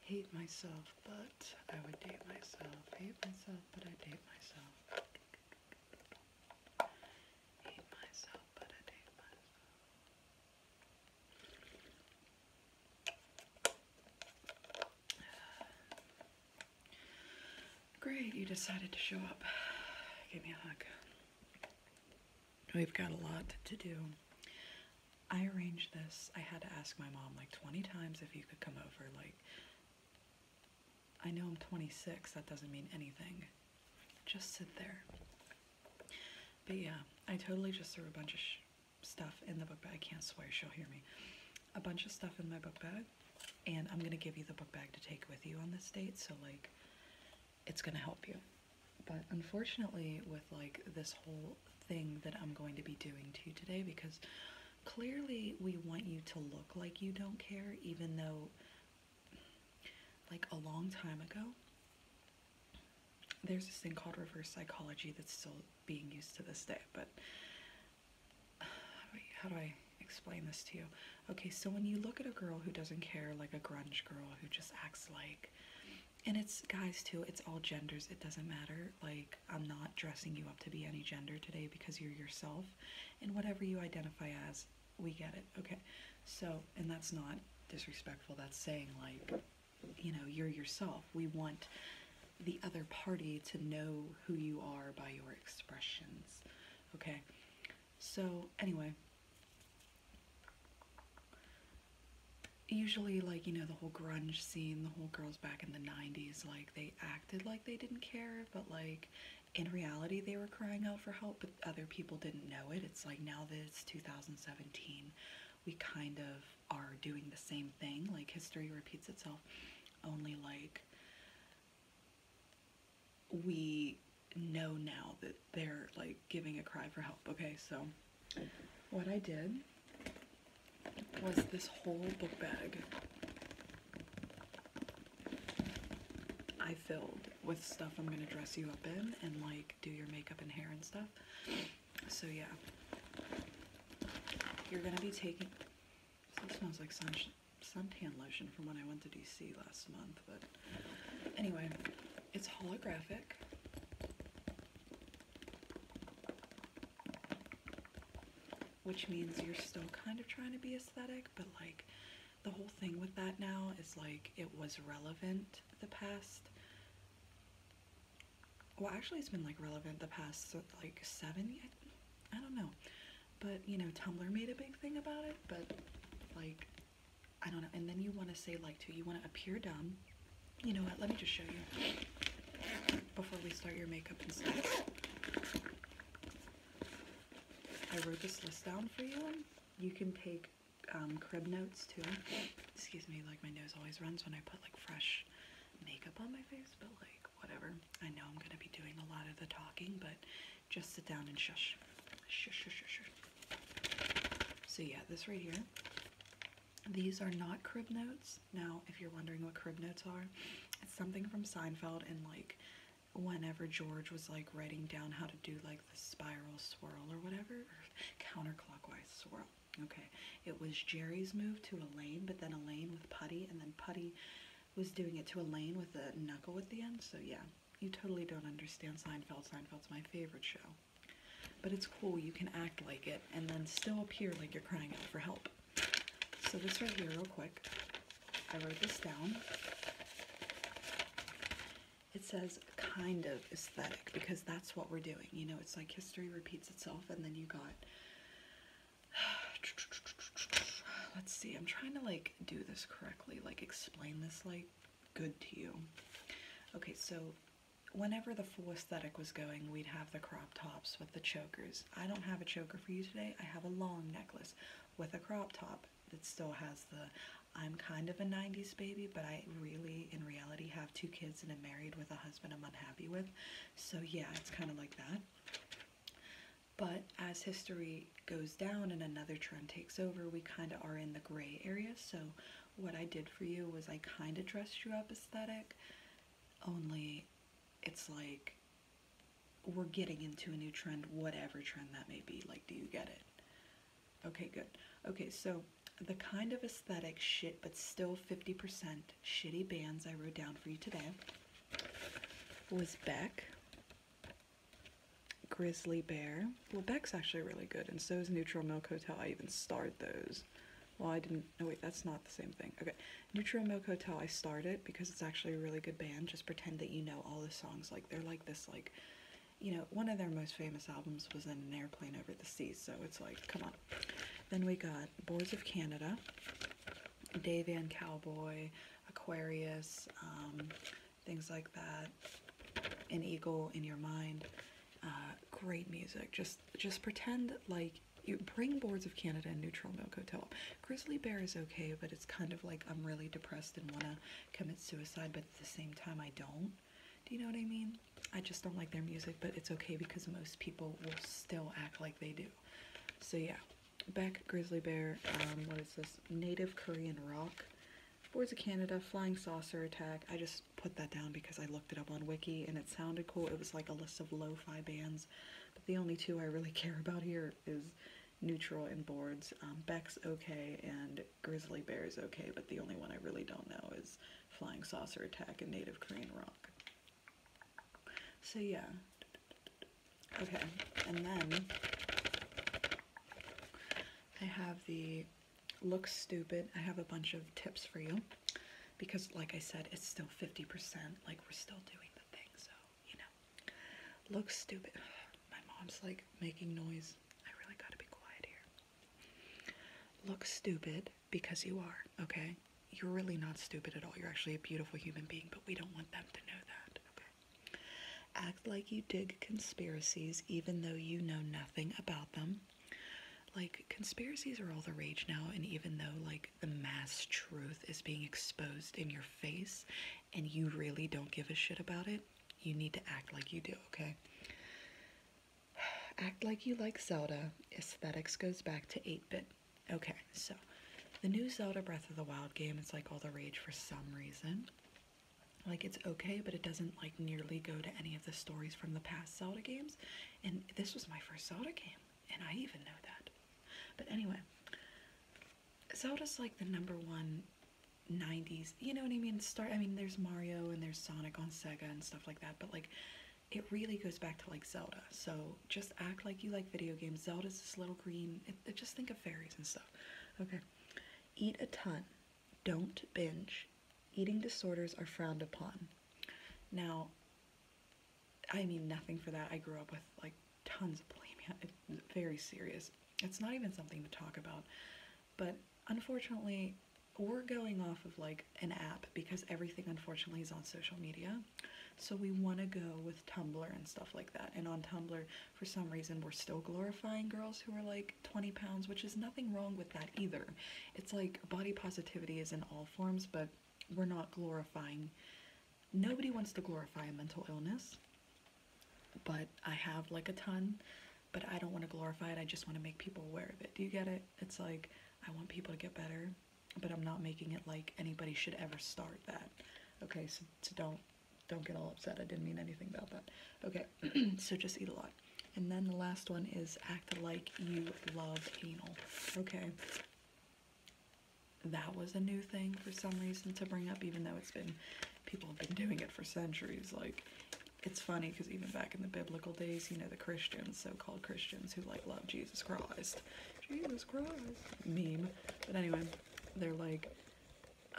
hate myself, but I would date myself. Hate myself, but I date myself. Hate myself, but I date myself. Great, you decided to show up. Give me a hug. We've got a lot to do. I arranged this. I had to ask my mom like 20 times if you could come over. Like, I know I'm 26, that doesn't mean anything. Just sit there. But yeah, I totally just threw a bunch of stuff in the book bag. I can't swear, she'll hear me. A bunch of stuff in my book bag, and I'm gonna give you the book bag to take with you on this date, so like, it's gonna help you but unfortunately with like this whole thing that I'm going to be doing to you today because clearly we want you to look like you don't care even though like a long time ago there's this thing called reverse psychology that's still being used to this day but how do I explain this to you? Okay, so when you look at a girl who doesn't care, like a grunge girl who just acts like and it's guys too it's all genders it doesn't matter like i'm not dressing you up to be any gender today because you're yourself and whatever you identify as we get it okay so and that's not disrespectful that's saying like you know you're yourself we want the other party to know who you are by your expressions okay so anyway usually like you know the whole grunge scene the whole girls back in the 90s like they acted like they didn't care but like in reality they were crying out for help but other people didn't know it it's like now that it's 2017 we kind of are doing the same thing like history repeats itself only like we know now that they're like giving a cry for help okay so what I did was this whole book bag I filled with stuff I'm gonna dress you up in and like do your makeup and hair and stuff. So yeah, you're gonna be taking, this smells like suntan lotion from when I went to DC last month, but anyway, it's holographic which means you're still kind of trying to be aesthetic, but like the whole thing with that now is like it was relevant the past. Well, actually, it's been like relevant the past like seven. I don't know, but you know, Tumblr made a big thing about it, but like I don't know. And then you want to say like too, you want to appear dumb, you know what? Let me just show you before we start your makeup and stuff. I wrote this list down for you. You can take um, crib notes too. Excuse me, like my nose always runs when I put like fresh makeup on my face, but like whatever. I know I'm gonna be doing a lot of the talking, but just sit down and Shush, shush, shush, shush. So yeah, this right here these are not crib notes. Now, if you're wondering what crib notes are, it's something from Seinfeld and like whenever George was like writing down how to do like the spiral swirl or whatever, counterclockwise swirl. Okay, it was Jerry's move to Elaine, but then Elaine with Putty, and then Putty was doing it to Elaine with a knuckle at the end. So yeah, you totally don't understand Seinfeld. Seinfeld's my favorite show. But it's cool, you can act like it and then still appear like you're crying out for help. So this right here, real quick, I wrote this down. It says kind of aesthetic because that's what we're doing. You know, it's like history repeats itself and then you got, let's see, I'm trying to like do this correctly, like explain this like good to you. Okay, so whenever the full aesthetic was going, we'd have the crop tops with the chokers. I don't have a choker for you today. I have a long necklace with a crop top that still has the I'm kind of a 90s baby, but I really, in reality, have two kids and am married with a husband I'm unhappy with. So, yeah, it's kind of like that. But as history goes down and another trend takes over, we kind of are in the gray area. So, what I did for you was I kind of dressed you up aesthetic, only it's like we're getting into a new trend, whatever trend that may be. Like, do you get it? Okay, good. Okay, so the kind of aesthetic shit, but still 50% shitty bands I wrote down for you today was Beck, Grizzly Bear. Well, Beck's actually really good, and so is Neutral Milk Hotel. I even starred those. Well, I didn't. Oh, wait, that's not the same thing. Okay. Neutral Milk Hotel, I started because it's actually a really good band. Just pretend that you know all the songs. Like, they're like this, like, you know, one of their most famous albums was in an airplane over the sea. so it's like, come on. Then we got Boards of Canada, Dave Van Cowboy, Aquarius, um, things like that. An Eagle in Your Mind. Uh, great music, just just pretend like you bring boards of Canada and neutral milk hotel. Grizzly bear is okay, but it's kind of like I'm really depressed and wanna commit suicide, but at the same time I don't. Do you know what I mean? I just don't like their music, but it's okay because most people will still act like they do. So yeah, back Grizzly Bear, um, what is this? Native Korean Rock, Boards of Canada, Flying Saucer Attack. I just put that down because I looked it up on Wiki and it sounded cool. It was like a list of lo-fi bands, but the only two I really care about here is Neutral in Boards. Um, Beck's okay and Grizzly Bear's okay, but the only one I really don't know is Flying Saucer Attack and Native Korean Rock. So yeah. Okay, and then I have the looks stupid, I have a bunch of tips for you because, like I said, it's still 50%. Like, we're still doing the thing, so you know, Look stupid. My mom's like making noise. I really gotta be quiet here. Look stupid because you are, okay? You're really not stupid at all. You're actually a beautiful human being, but we don't want them to know that, okay? Act like you dig conspiracies even though you know nothing about them. Like, conspiracies are all the rage now, and even though, like, the mass truth is being exposed in your face and you really don't give a shit about it, you need to act like you do, okay? Act like you like Zelda. Aesthetics goes back to 8 bit. Okay, so the new Zelda Breath of the Wild game is like all the rage for some reason. Like it's okay, but it doesn't like nearly go to any of the stories from the past Zelda games. And this was my first Zelda game, and I even know that. But anyway, Zelda's like the number one 90s, you know what I mean? Start I mean there's Mario and there's Sonic on Sega and stuff like that, but like it really goes back to like Zelda. So just act like you like video games. Zelda's this little green, just think of fairies and stuff. Okay. Eat a ton. Don't binge eating disorders are frowned upon. Now, I mean nothing for that. I grew up with like tons of bulimia. very serious. It's not even something to talk about. But unfortunately, we're going off of like an app because everything unfortunately is on social media. So we want to go with Tumblr and stuff like that. And on Tumblr, for some reason, we're still glorifying girls who are like 20 pounds, which is nothing wrong with that either. It's like body positivity is in all forms, but we're not glorifying. Nobody wants to glorify a mental illness, but I have like a ton, but I don't want to glorify it. I just want to make people aware of it. Do you get it? It's like I want people to get better, but I'm not making it like anybody should ever start that. Okay, so, don't don't get all upset. I didn't mean anything about that. Okay, so just eat a lot. And then the last one is act like you love anal. Okay. That was a new thing for some reason to bring up, even though it's been, people have been doing it for centuries. Like, it's funny because even back in the biblical days, you know, the Christians, so called Christians who like love Jesus Christ, Jesus Christ meme. But anyway, they're like,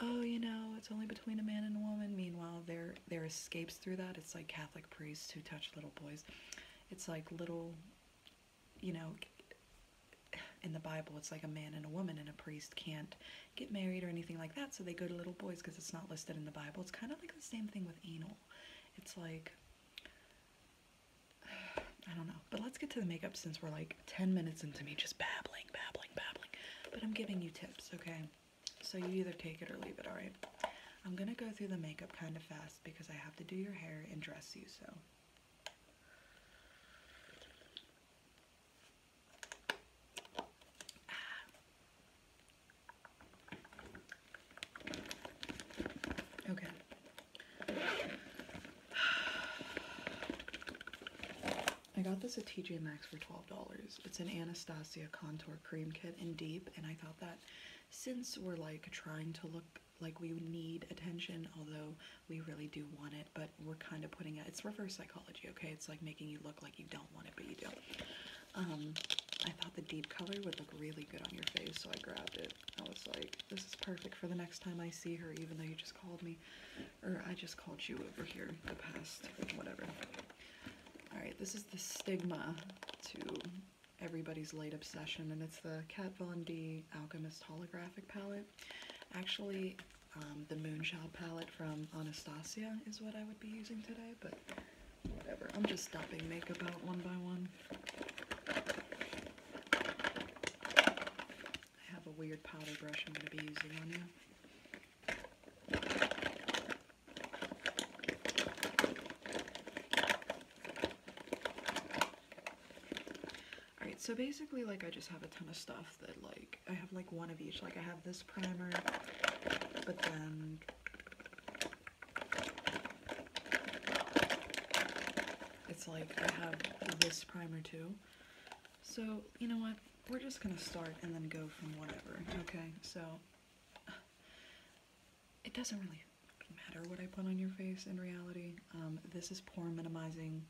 oh, you know, it's only between a man and a woman. Meanwhile, they're there escapes through that. It's like Catholic priests who touch little boys. It's like little, you know, in the Bible, it's like a man and a woman and a priest can't get married or anything like that, so they go to little boys because it's not listed in the Bible. It's kind of like the same thing with anal. It's like, I don't know. But let's get to the makeup since we're like 10 minutes into me just babbling, babbling, babbling. But I'm giving you tips, okay? So you either take it or leave it, alright? I'm gonna go through the makeup kind of fast because I have to do your hair and dress you, so. Ah. Okay. I got this at TJ Maxx for $12. It's an Anastasia Contour Cream Kit in Deep, and I thought that since we're like trying to look like we need attention, although we really do want it, but we're kind of putting it, it's reverse psychology, okay? It's like making you look like you don't want it, but you do. Um, I thought the deep color would look really good on your face, so I grabbed it. I was like, this is perfect for the next time I see her, even though you just called me, or I just called you over here the past, whatever. All right, this is the stigma to everybody's late obsession, and it's the Kat Von D Alchemist Holographic Palette. Actually, um, the Moonshot palette from Anastasia is what I would be using today, but whatever. I'm just stopping makeup out one by one. I have a weird powder brush I'm going to be using on you. Alright, so basically, like, I just have a ton of stuff that, like, I have, like, one of each. Like, I have this primer, but then... It's like, I have this primer, too. So, you know what? We're just gonna start and then go from whatever, okay? So, it doesn't really matter what I put on your face in reality. Um, this is pore minimizing.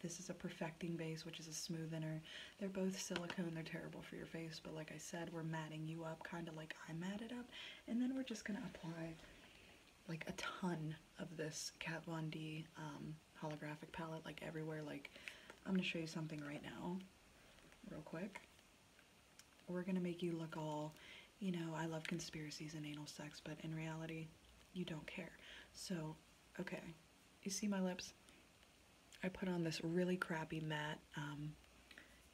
This is a perfecting base, which is a smoothener. They're both silicone. They're terrible for your face, but like I said, we're matting you up, kind of like I matted up. And then we're just going to apply like a ton of this Kat Von D um, holographic palette, like everywhere. Like, I'm going to show you something right now, real quick we're going to make you look all, you know, I love conspiracies and anal sex, but in reality, you don't care. So, okay, you see my lips? I put on this really crappy matte, um,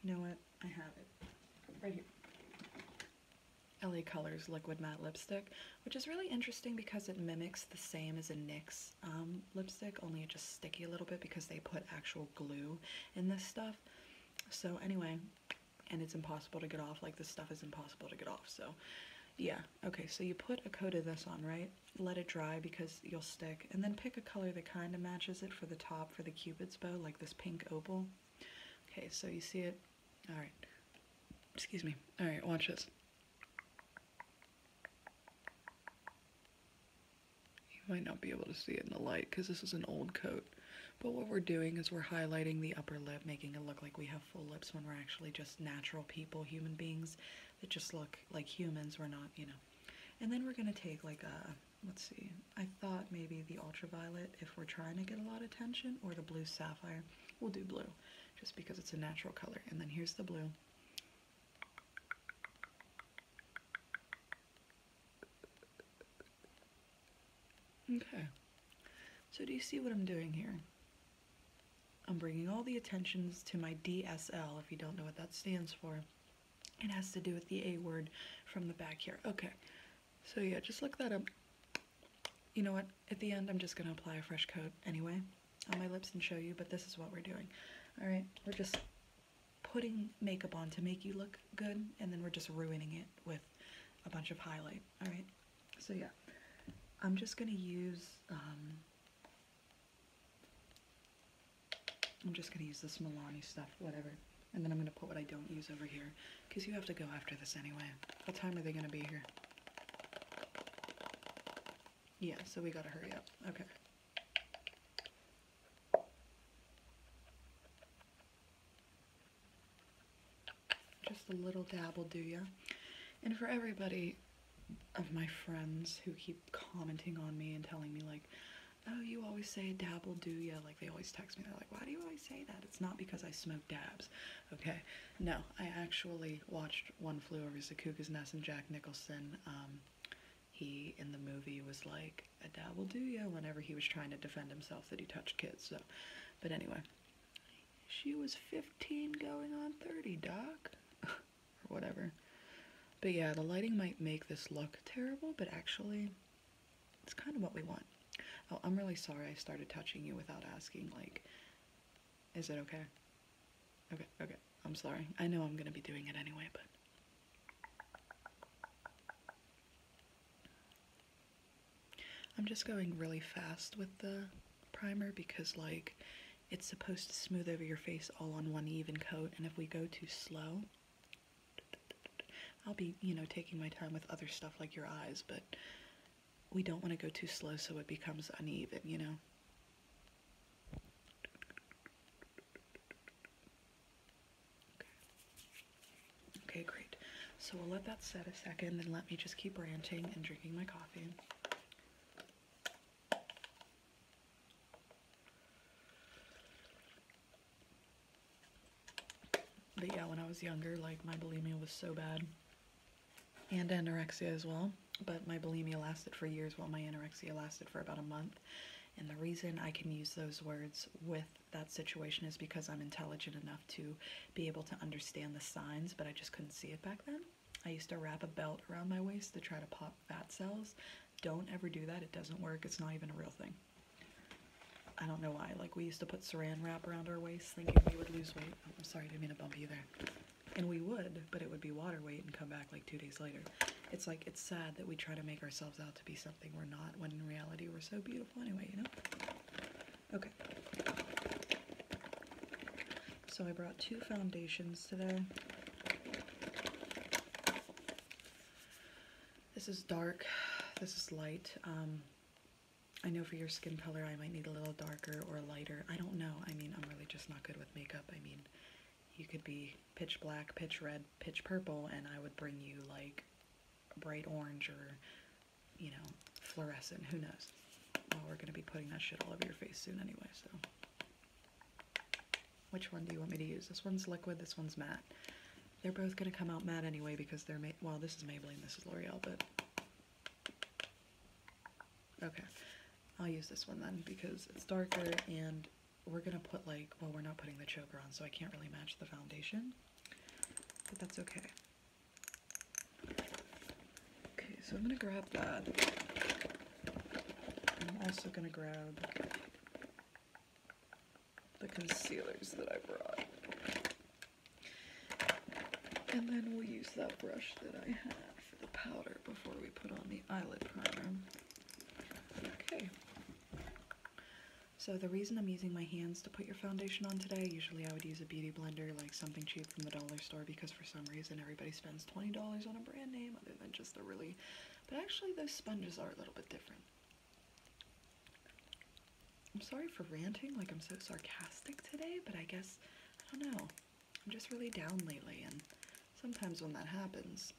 you know what, I have it right here. LA Colors Liquid Matte Lipstick, which is really interesting because it mimics the same as a NYX um, lipstick, only it just sticky a little bit because they put actual glue in this stuff. So anyway, and it's impossible to get off, like this stuff is impossible to get off, so yeah. Okay, so you put a coat of this on, right? Let it dry because you'll stick, and then pick a color that kind of matches it for the top for the cupid's bow, like this pink opal. Okay, so you see it, all right, excuse me, all right, watch this. You might not be able to see it in the light because this is an old coat. But what we're doing is we're highlighting the upper lip, making it look like we have full lips when we're actually just natural people, human beings that just look like humans. We're not, you know. And then we're going to take like a, let's see, I thought maybe the ultraviolet if we're trying to get a lot of attention or the blue sapphire. We'll do blue just because it's a natural color. And then here's the blue. Okay. So do you see what I'm doing here? I'm bringing all the attentions to my DSL, if you don't know what that stands for. It has to do with the A word from the back here. Okay, so yeah, just look that up. You know what, at the end I'm just gonna apply a fresh coat anyway on my lips and show you, but this is what we're doing. All right, we're just putting makeup on to make you look good, and then we're just ruining it with a bunch of highlight. All right, so yeah, I'm just gonna use. Um, I'm just gonna use this Milani stuff, whatever. And then I'm gonna put what I don't use over here, because you have to go after this anyway. What time are they gonna be here? Yeah, so we gotta hurry up. Okay. Just a little dab will do ya. And for everybody of my friends who keep commenting on me and telling me like, oh, you always say dab will do ya. Like they always text me, they're like, why do you always say that? It's not because I smoke dabs, okay? No, I actually watched One Flew Over the Cuckoo's Nest and Jack Nicholson um, he in the movie was like, a dad will do ya, whenever he was trying to defend himself that he touched kids, so, but anyway. She was 15 going on 30, doc, or whatever. But yeah, the lighting might make this look terrible, but actually, it's kind of what we want. Oh, I'm really sorry I started touching you without asking, like, is it okay? Okay, okay, I'm sorry. I know I'm gonna be doing it anyway, but I'm just going really fast with the primer because like it's supposed to smooth over your face all on one even coat and if we go too slow I'll be you know taking my time with other stuff like your eyes but we don't want to go too slow so it becomes uneven you know Okay, great. So we'll let that set a second, then let me just keep ranting and drinking my coffee. But yeah, when I was younger, like my bulimia was so bad, and anorexia as well. But my bulimia lasted for years while my anorexia lasted for about a month. And the reason I can use those words with that situation is because I'm intelligent enough to be able to understand the signs, but I just couldn't see it back then. I used to wrap a belt around my waist to try to pop fat cells. Don't ever do that. It doesn't work. It's not even a real thing. I don't know why. Like, we used to put saran wrap around our waist thinking we would lose weight. Oh, I'm sorry, I didn't mean to bump you there. And we would, but it would be water weight and come back like two days later it's like it's sad that we try to make ourselves out to be something we're not when in reality we're so beautiful anyway, you know? Okay. So I brought two foundations today. This is dark, this is light. Um, I know for your skin color I might need a little darker or lighter. I don't know. I mean, I'm really just not good with makeup. I mean, you could be pitch black, pitch red, pitch purple and I would bring you like bright orange or you know fluorescent who knows well we're gonna be putting that shit all over your face soon anyway so which one do you want me to use this one's liquid this one's matte they're both gonna come out matte anyway because they're well this is Maybelline this is L'Oreal but okay I'll use this one then because it's darker and we're gonna put like, well, we're not putting the choker on, so I can't really match the foundation, but that's okay. Okay, so I'm gonna grab that. I'm also gonna grab the concealers that I brought. And then we'll use that brush that I have for the powder before we put on the eyelid primer. Okay. So the reason I'm using my hands to put your foundation on today, usually I would use a beauty blender, like something cheap from the dollar store, because for some reason everybody spends $20 on a brand name other than just a really, but actually those sponges are a little bit different. I'm sorry for ranting, like I'm so sarcastic today, but I guess, I don't know, I'm just really down lately, and sometimes when that happens,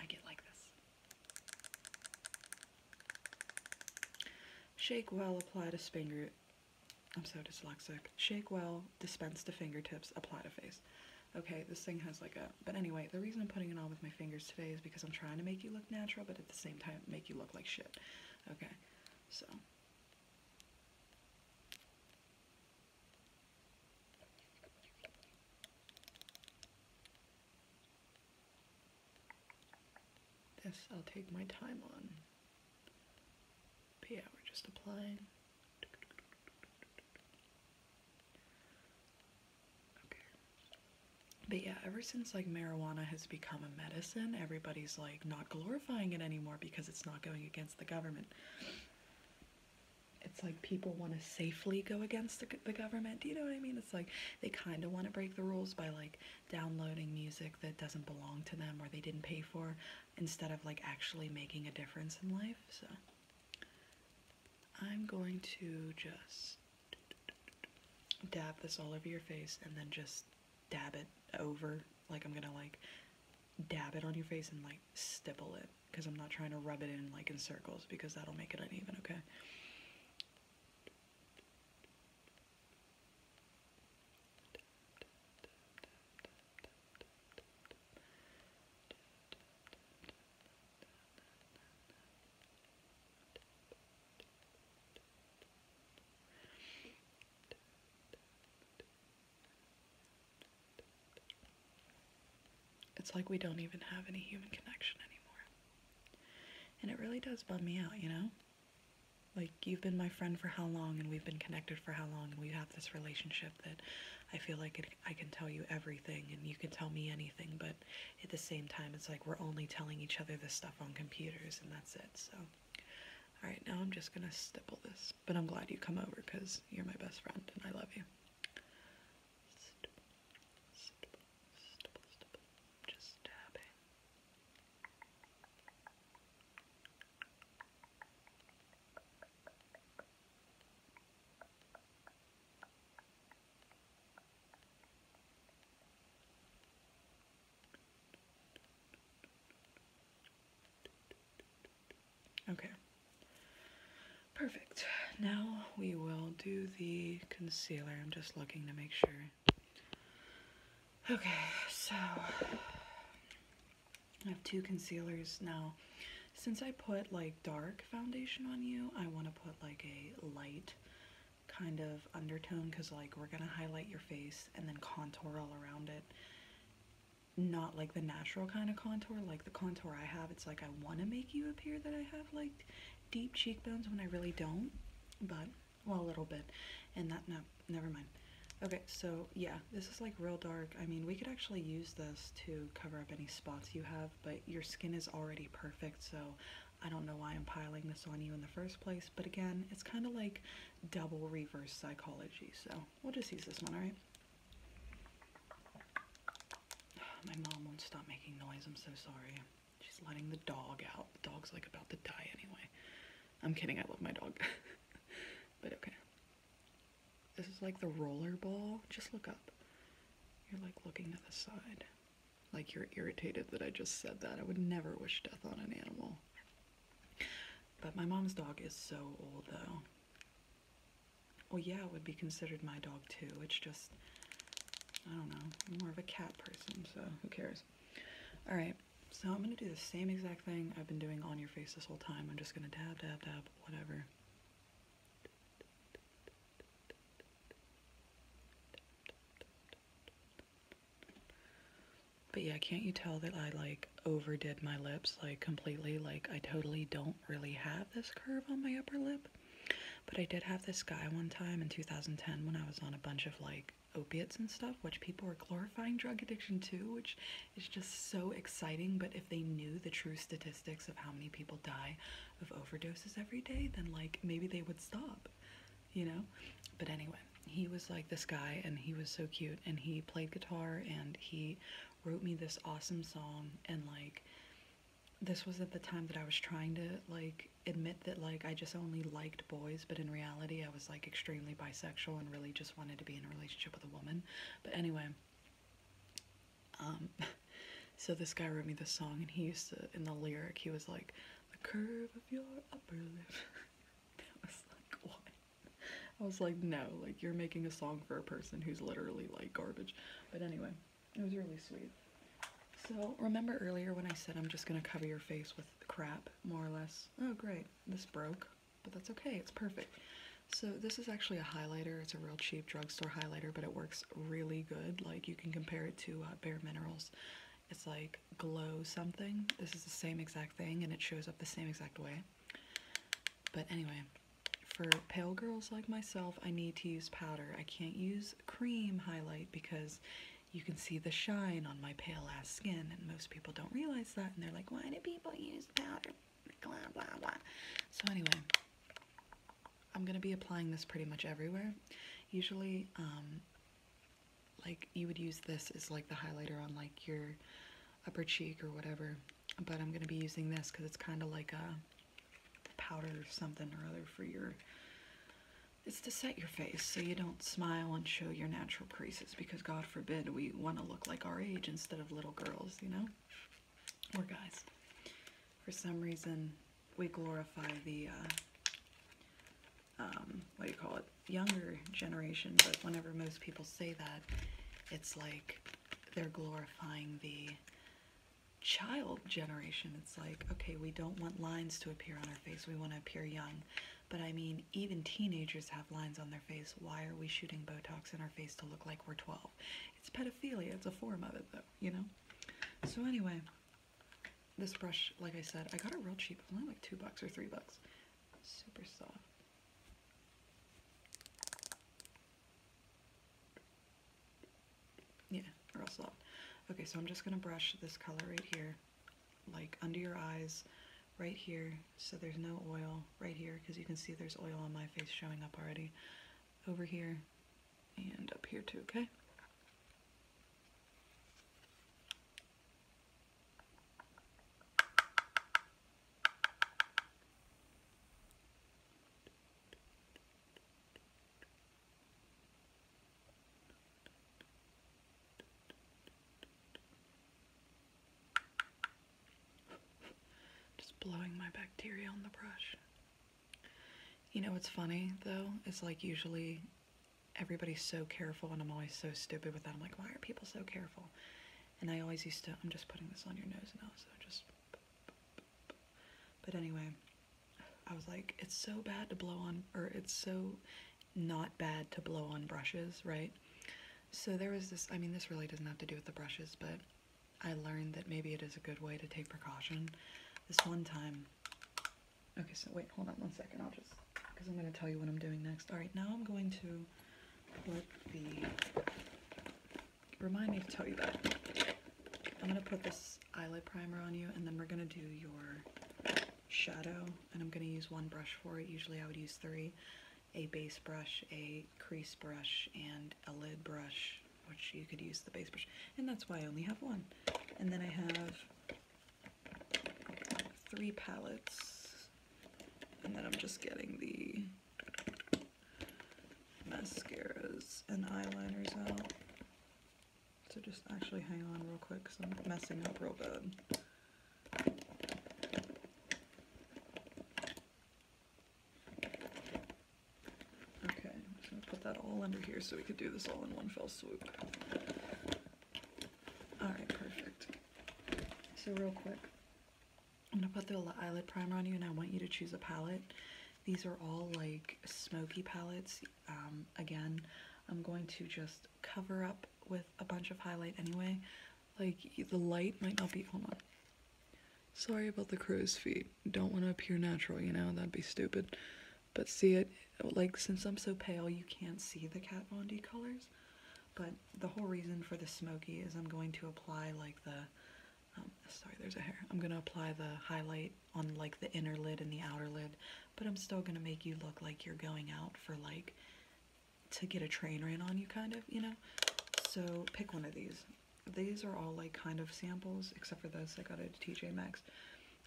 I get like this. Shake well, apply to finger. I'm so dyslexic. Shake well, dispense to fingertips, apply to face. Okay, this thing has like a. But anyway, the reason I'm putting it on with my fingers today is because I'm trying to make you look natural, but at the same time, make you look like shit. Okay, so. This I'll take my time on. But yeah, we're just applying. Okay. But yeah, ever since like marijuana has become a medicine, everybody's like not glorifying it anymore because it's not going against the government it's like people want to safely go against the, government. Do you know what I mean? It's like they kind of want to break the rules by like downloading music that doesn't belong to them or they didn't pay for instead of like actually making a difference in life. So I'm going to just dab this all over your face and then just dab it over. Like I'm going to like dab it on your face and like stipple it because I'm not trying to rub it in like in circles because that'll make it uneven, okay? It's like we don't even have any human connection anymore. And it really does bum me out, you know? Like, you've been my friend for how long, and we've been connected for how long, we have this relationship that I feel like I can tell you everything, and you can tell me anything, but at the same time, it's like we're only telling each other this stuff on computers, and that's it, so. Alright, now I'm just gonna stipple this, but I'm glad you come over, because you're my best friend, and I love you stipple, stipple, stipple, stipple. Just tapping. Just Okay. Perfect. Now we will do the concealer. I'm just looking to make sure. Okay, so I have two concealers now. Since I put like dark foundation on you, I want to put like a light kind of undertone because like we're going to highlight your face and then contour all around it. Not like the natural kind of contour, like the contour I have, it's like I want to make you appear that I have like deep cheekbones when I really don't, but well, a little bit. And that, no, never mind. Okay, so yeah, this is like real dark. I mean, we could actually use this to cover up any spots you have, but your skin is already perfect, so I don't know why I'm piling this on you in the first place. But again, it's kind of like double reverse psychology, so we'll just use this one, alright? My mom won't stop making noise. I'm so sorry. She's letting the dog out. The dog's like about to die anyway. I'm kidding. I love my dog. but okay. This is like the roller ball. Just look up. You're like looking to the side. Like you're irritated that I just said that. I would never wish death on an animal. But my mom's dog is so old though. Well, yeah, it would be considered my dog too. It's just, I don't know, more of a cat person, so who cares? All right, so I'm gonna do the same exact thing I've been doing on your face this whole time. I'm just gonna dab, dab, dab, whatever. But yeah, can't you tell that I like overdid my lips like completely? Like I totally don't really have this curve on my upper lip, but I did have this guy one time in 2010 when I was on a bunch of like opiates and stuff, which people are glorifying drug addiction too, which is just so exciting. But if they knew the true statistics of how many people die of overdoses every day, then like maybe they would stop, you know? But anyway, he was like this guy and he was so cute and he played guitar and he wrote me this awesome song and like this was at the time that I was trying to like admit that like I just only liked boys, but in reality I was like extremely bisexual and really just wanted to be in a relationship with a woman. But anyway, um so this guy wrote me this song and he used to in the lyric he was like the curve of your upper lip. that was like what? I was like no, like you're making a song for a person who's literally like garbage. But anyway, it was really sweet. So remember earlier when I said I'm just gonna cover your face with crap, more or less? Oh great, this broke, but that's okay, it's perfect. So this is actually a highlighter. It's a real cheap drugstore highlighter, but it works really good. Like you can compare it to uh, Bare Minerals. It's like glow something. This is the same exact thing and it shows up the same exact way. But anyway, for pale girls like myself, I need to use powder. I can't use cream highlight because you can see the shine on my pale ass skin, and most people don't realize that, and they're like, why do people use powder? Blah, blah, blah. So anyway, I'm going to be applying this pretty much everywhere. Usually, um, like, you would use this as, like, the highlighter on, like, your upper cheek or whatever but I'm going to be using this because it's kind of like a powder or something or other for your, it's to set your face so you don't smile and show your natural creases because God forbid we want to look like our age instead of little girls, you know, or guys. For some reason, we glorify the, uh, um, what do you call it, younger generation, but whenever most people say that, it's like they're glorifying the child generation, it's like, okay, we don't want lines to appear on our face. We want to appear young. But I mean, even teenagers have lines on their face. Why are we shooting Botox in our face to look like we're 12? It's pedophilia. It's a form of it, though, you know? So, anyway, this brush, like I said, I got it real cheap. It only like two bucks or three bucks. Super soft. Yeah, or else not. Okay, so I'm just gonna brush this color right here, like under your eyes, right here, so there's no oil right here, because you can see there's oil on my face showing up already. Over here, and up here too, okay? Just blowing my bacteria on the brush. You know what's funny though? is like usually everybody's so careful and I'm always so stupid with that. I'm like, why are people so careful? And I always used to, I'm just putting this on your nose now, so just but anyway, I was like, it's so bad to blow on, or it's so not bad to blow on brushes, right? So there was this, I mean, this really doesn't have to do with the brushes, but I learned that maybe it is a good way to take precaution. This one time, okay, so wait, hold on one second, I'll just, because I'm going to tell you what I'm doing next. All right, now I'm going to put the Remind me to tell you that. I'm gonna put this eyelid primer on you and then we're gonna do your shadow and I'm gonna use one brush for it. Usually I would use three. A base brush, a crease brush, and a lid brush, which you could use the base brush. And that's why I only have one. And then I have three palettes. And then I'm just getting the mascaras and eyeliners out. So just actually hang on real quick because I'm messing up real bad. Okay, put that all under here so we could do this all in one fell swoop. Alright, perfect. So real quick, I'm going to put the eyelid primer on you and I want you to choose a palette. These are all like smoky palettes. Um, again, I'm going to just cover up with a bunch of highlight anyway. Like, the light might not be... on. Sorry about the crow's feet. Don't want to appear natural, you know? That'd be stupid. But see it? Like, since I'm so pale, you can't see the Kat Von D colors. But the whole reason for the smoky is I'm going to apply, like, the um, sorry, there's a hair. I'm gonna apply the highlight on like the inner lid and the outer lid, but I'm still gonna make you look like you're going out for like to get a train ran on you, kind of, you know? So pick one of these. These are all like kind of samples, except for this I got it at TJ Maxx.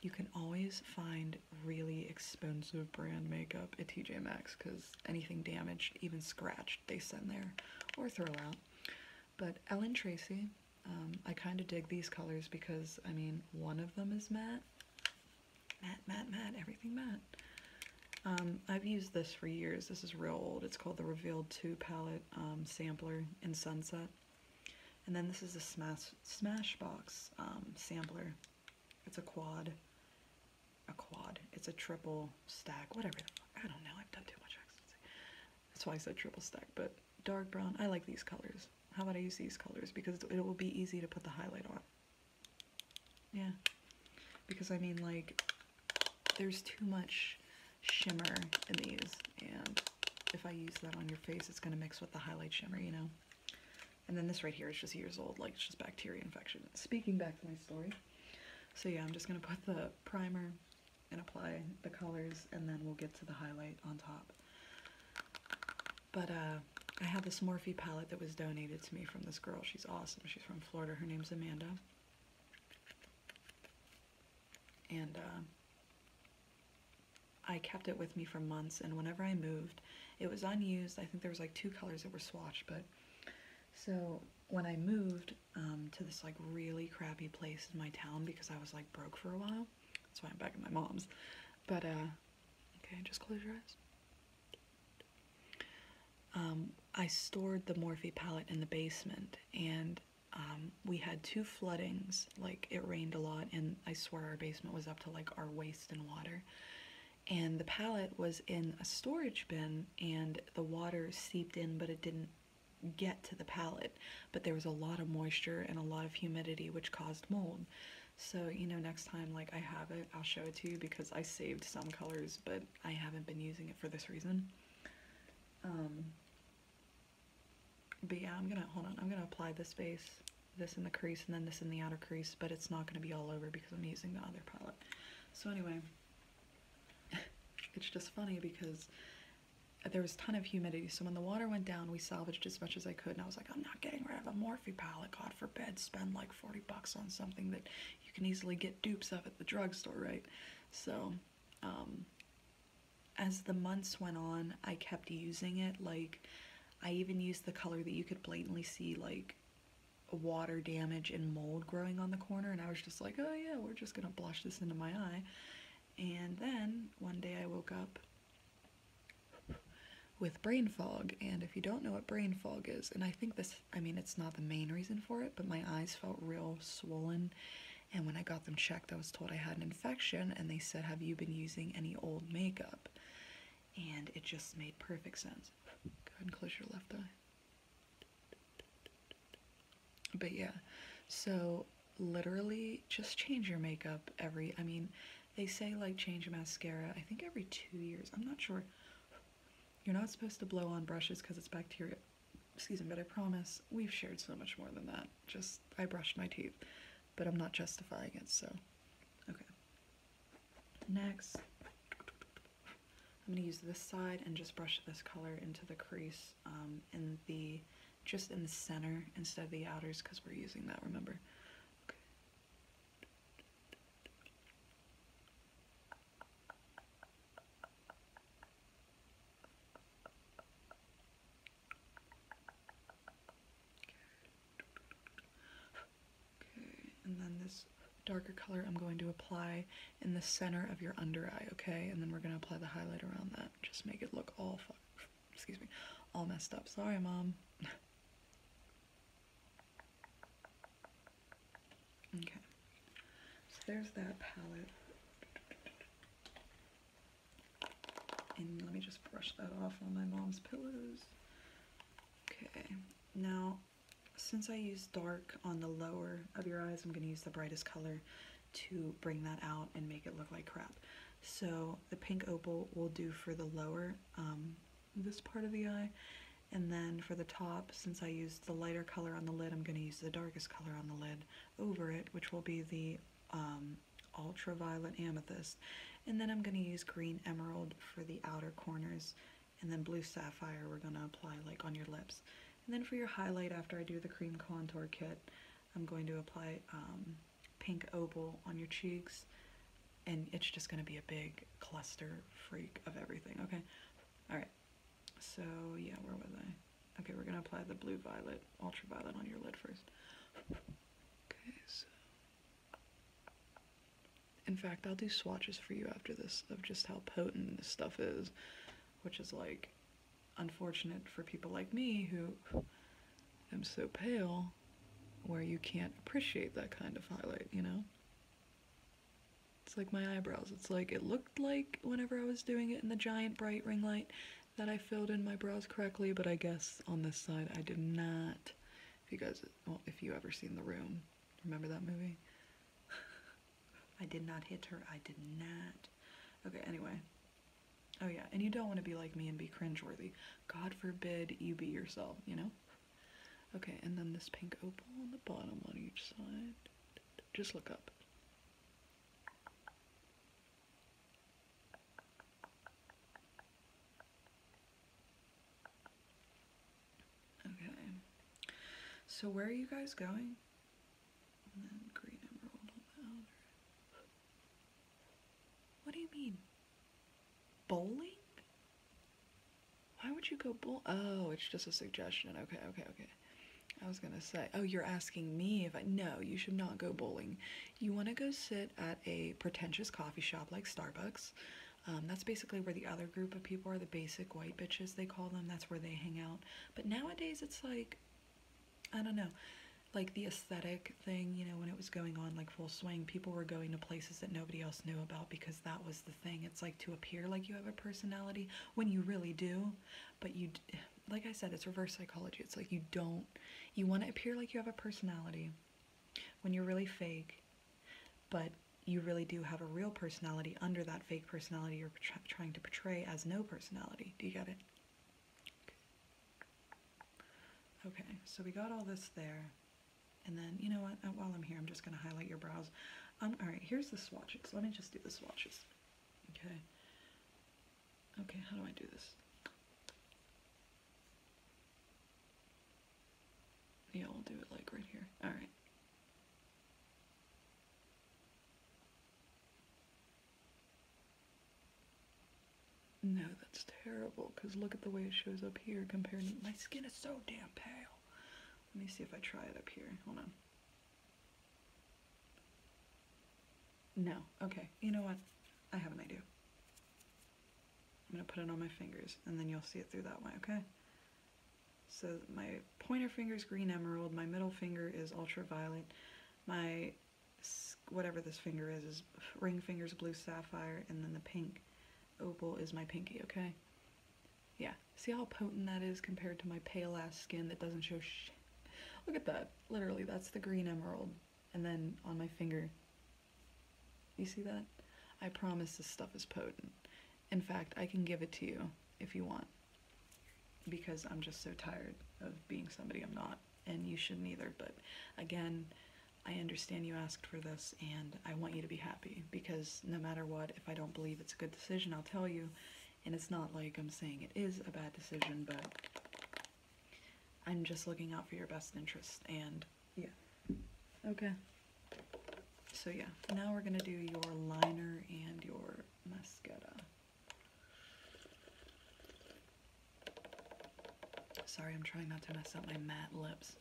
You can always find really expensive brand makeup at TJ Maxx because anything damaged, even scratched, they send there or throw out. But Ellen Tracy, um, I kind of dig these colors because, I mean, one of them is matte. Matte, matte, matte, everything matte. Um, I've used this for years. This is real old. It's called the Revealed 2 palette um, sampler in Sunset. And then this is a Smash Smashbox sampler. It's a quad. A quad. It's a triple stack. Whatever I don't know. I've done too much that's why I said triple stack, but dark brown, I like these colors. How about I use these colors? Because it will be easy to put the highlight on. Yeah. Because I mean, like, there's too much shimmer in these, and if I use that on your face, it's going to mix with the highlight shimmer, you know? And then this right here is just years old, like it's just bacteria infection. Speaking back to my story. So yeah, I'm just going to put the primer and apply the colors and then we'll get to the highlight on top. But uh, I had this Morphe palette that was donated to me from this girl. She's awesome. She's from Florida. Her name's Amanda. And uh, I kept it with me for months and whenever I moved, it was unused. I think there was like two colors that were swatched, but so when I moved, um, to this like really crappy place in my town because I was like broke for a while. That's why I'm back at my mom's. But uh, okay, just close your eyes. Um, I stored the Morphe palette in the basement and um, we had two floodings, like it rained a lot and I swear our basement was up to like our waist in water. And the palette was in a storage bin and the water seeped in but it didn't get to the palette, but there was a lot of moisture and a lot of humidity, which caused mold. So, you know, next time, like, I have it, I'll show it to you because I saved some colors, but I haven't been using it for this reason. Um, but yeah, I'm gonna, hold on, I'm gonna apply this base, this in the crease, and then this in the outer crease, but it's not gonna be all over because I'm using the other palette. So anyway, it's just funny because there was a ton of humidity, so when the water went down, we salvaged as much as I could. And I was like, I'm not getting rid of a Morphe palette. God forbid, spend like 40 bucks on something that you can easily get dupes of at the drugstore, right? So, um, as the months went on, I kept using it. Like, I even used the color that you could blatantly see, like, water damage and mold growing on the corner. And I was just like, oh yeah, we're just gonna blush this into my eye. And then one day I woke up with brain fog. And if you don't know what brain fog is, and I think this, I mean, it's not the main reason for it, but my eyes felt real swollen. And when I got them checked, I was told I had an infection, and they said, Have you been using any old makeup? And it just made perfect sense. Go ahead and close your left eye. But yeah, so literally just change your makeup every, I mean, they say like change mascara, I think every two years, I'm not sure. You're not supposed to blow on brushes because it's bacteria. Excuse me, but I promise we've shared so much more than that. Just, I brush my teeth, but I'm not justifying it, so, okay. Next, I'm gonna use this side and just brush this color into the crease um, in the just in the center instead of the outers because we're using that remember okay and then this darker color I'm going to apply in the center of your under eye, okay? And then we're gonna apply the highlight around that. Just make it look all, excuse me, all messed up. Sorry, mom. okay, so there's that palette. And let me just brush that off on my mom's pillows. Okay, now since I use dark on the lower of your eyes, I'm gonna use the brightest color to bring that out and make it look like crap. So the pink opal will do for the lower, um, this part of the eye. And then for the top, since I used the lighter color on the lid, I'm going to use the darkest color on the lid over it, which will be the um, ultraviolet amethyst. And then I'm going to use green emerald for the outer corners. And then blue sapphire we're going to apply like on your lips. And then for your highlight, after I do the cream contour kit, I'm going to apply um, Pink Opal on your cheeks. And it's just going to be a big cluster freak of everything, okay? Alright, so yeah, where was I? Okay, we're going to apply the Blue Violet, Ultraviolet on your lid first. Okay, so... In fact, I'll do swatches for you after this of just how potent this stuff is, which is like unfortunate for people like me who am so pale where you can't appreciate that kind of highlight, you know? It's like my eyebrows. It's like it looked like whenever I was doing it in the giant bright ring light that I filled in my brows correctly, but I guess on this side I did not. If you guys, well, if you ever seen The Room, remember that movie? I did not hit her. I did not. Okay, anyway. Oh, yeah, and you don't want to be like me and be cringeworthy. God forbid you be yourself, you know? Okay, and then this pink opal on the bottom on each side. Just look up. Okay. So where are you guys going? What do you mean? Bowling? Why would you go bowl? Oh, it's just a suggestion. Okay, okay, okay. I was gonna say, oh, you're asking me if I. No, you should not go bowling. You wanna go sit at a pretentious coffee shop like Starbucks. Um, that's basically where the other group of people are, the basic white bitches, they call them. That's where they hang out. But nowadays, it's like I don't know, like the aesthetic thing, you know, when it was going on like full swing, people were going to places that nobody else knew about because that was the thing. It's like to appear like you have a personality when you really do, but you, like I said, it's reverse psychology. It's like you don't, you want to appear like you have a personality when you're really fake, but you really do have a real personality under that fake personality you're trying to portray as no personality. Do you get it? Okay, so we got all this there. And then, you know what, uh, while I'm here, I'm just going to highlight your brows. Um, all right, here's the swatches. Let me just do the swatches. Okay. Okay, how do I do this? Yeah, we'll do it like right here. All right. No, that's terrible, because look at the way it shows up here compared to- My skin is so damn pale! Let me see if I try it up here. Hold on. No. Okay. You know what? I have an idea. I'm going to put it on my fingers, and then you'll see it through that way, okay? So my pointer finger is green emerald, my middle finger is ultraviolet, my whatever this finger is is ring fingers blue sapphire and then the pink opal is my pinky okay yeah see how potent that is compared to my pale ass skin that doesn't show look at that literally that's the green emerald and then on my finger you see that I promise this stuff is potent in fact I can give it to you if you want because I'm just so tired of being somebody I'm not, and you shouldn't either. But again, I understand you asked for this, and I want you to be happy because no matter what, if I don't believe it's a good decision, I'll tell you. And it's not like I'm saying it is a bad decision, but I'm just looking out for your best interest. And yeah. Okay. So yeah, now we're going to do your liner and your mascara. Sorry, I'm trying not to mess up my matte lips.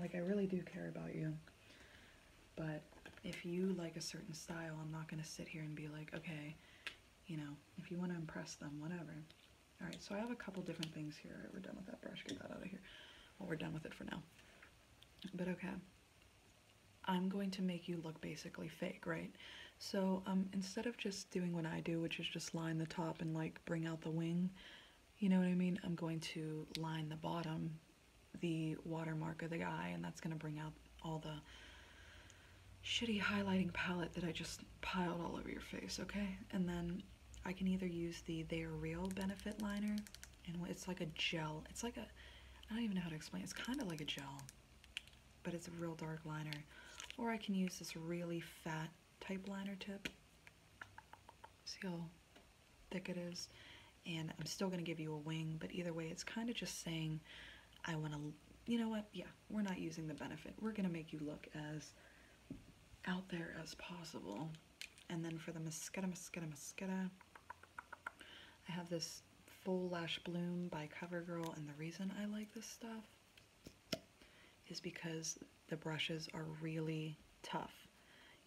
Like, I really do care about you, but if you like a certain style, I'm not going to sit here and be like, okay, you know, if you want to impress them, whatever. All right, so I have a couple different things here. we're done with that brush. Get that out of here. Well, we're done with it for now. But okay, I'm going to make you look basically fake, right? So um, instead of just doing what I do, which is just line the top and like bring out the wing, you know what I mean? I'm going to line the bottom, the watermark of the eye, and that's gonna bring out all the shitty highlighting palette that I just piled all over your face, okay? And then I can either use the They Are Real Benefit Liner, and it's like a gel. It's like a, I don't even know how to explain. It's kind of like a gel, but it's a real dark liner. Or I can use this really fat type liner tip. See how thick it is? And I'm still going to give you a wing, but either way, it's kind of just saying, I want to, you know what? Yeah, we're not using the benefit. We're going to make you look as out there as possible. And then for the Mosqueda, Mosqueda, Mosqueda, I have this Full Lash Bloom by CoverGirl. And the reason I like this stuff is because the brushes are really tough.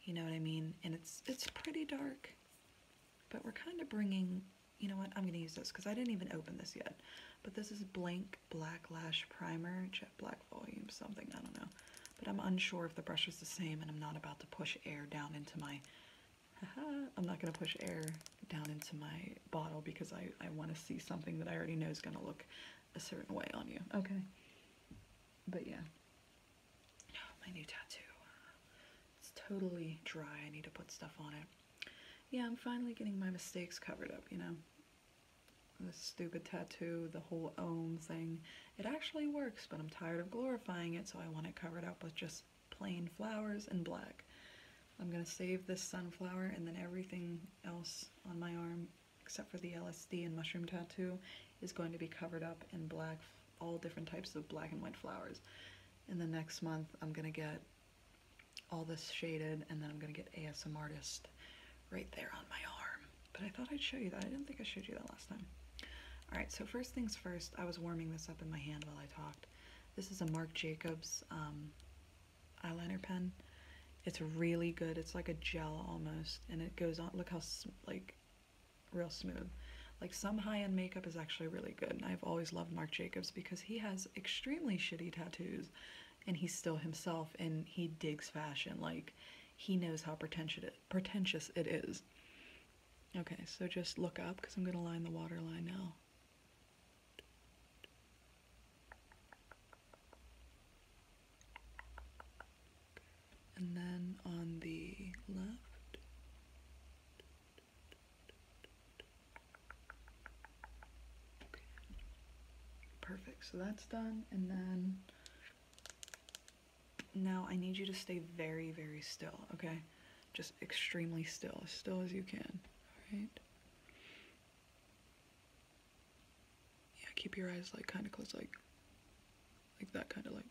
You know what I mean? And it's, it's pretty dark, but we're kind of bringing, you know what, I'm going to use this because I didn't even open this yet. But this is Blank Black Lash Primer, Jet Black Volume, something, I don't know but I'm unsure if the brush is the same and I'm not about to push air down into my I'm not going to push air down into my bottle because I, I want to see something that I already know is going to look a certain way on you. Okay. But yeah. Oh, my new tattoo. It's totally dry. I need to put stuff on it. Yeah, I'm finally getting my mistakes covered up, you know. The stupid tattoo, the whole own thing. It actually works, but I'm tired of glorifying it, so I want it covered up with just plain flowers and black. I'm gonna save this sunflower and then everything else on my arm, except for the LSD and mushroom tattoo, is going to be covered up in black, all different types of black and white flowers. In the next month, I'm gonna get all this shaded and then I'm gonna get ASM artist right there on my arm. But I thought I'd show you that. I didn't think I showed you that last time. Alright, so first things first, I was warming this up in my hand while I talked. This is a Marc Jacobs um, eyeliner pen. It's really good. It's like a gel almost, and it goes on. Look how like real smooth. Like some high-end makeup is actually really good, and I've always loved Marc Jacobs because he has extremely shitty tattoos, and he's still himself, and he digs fashion. Like he knows how pretentious pretentious it is. Okay, so just look up because I'm going to line the water line now. And then on the left, perfect. So that's done, and then now I need you to stay very, very still, okay? Just extremely still, as still as you can, alright? Yeah, keep your eyes like kind of close, like, like that kind of like.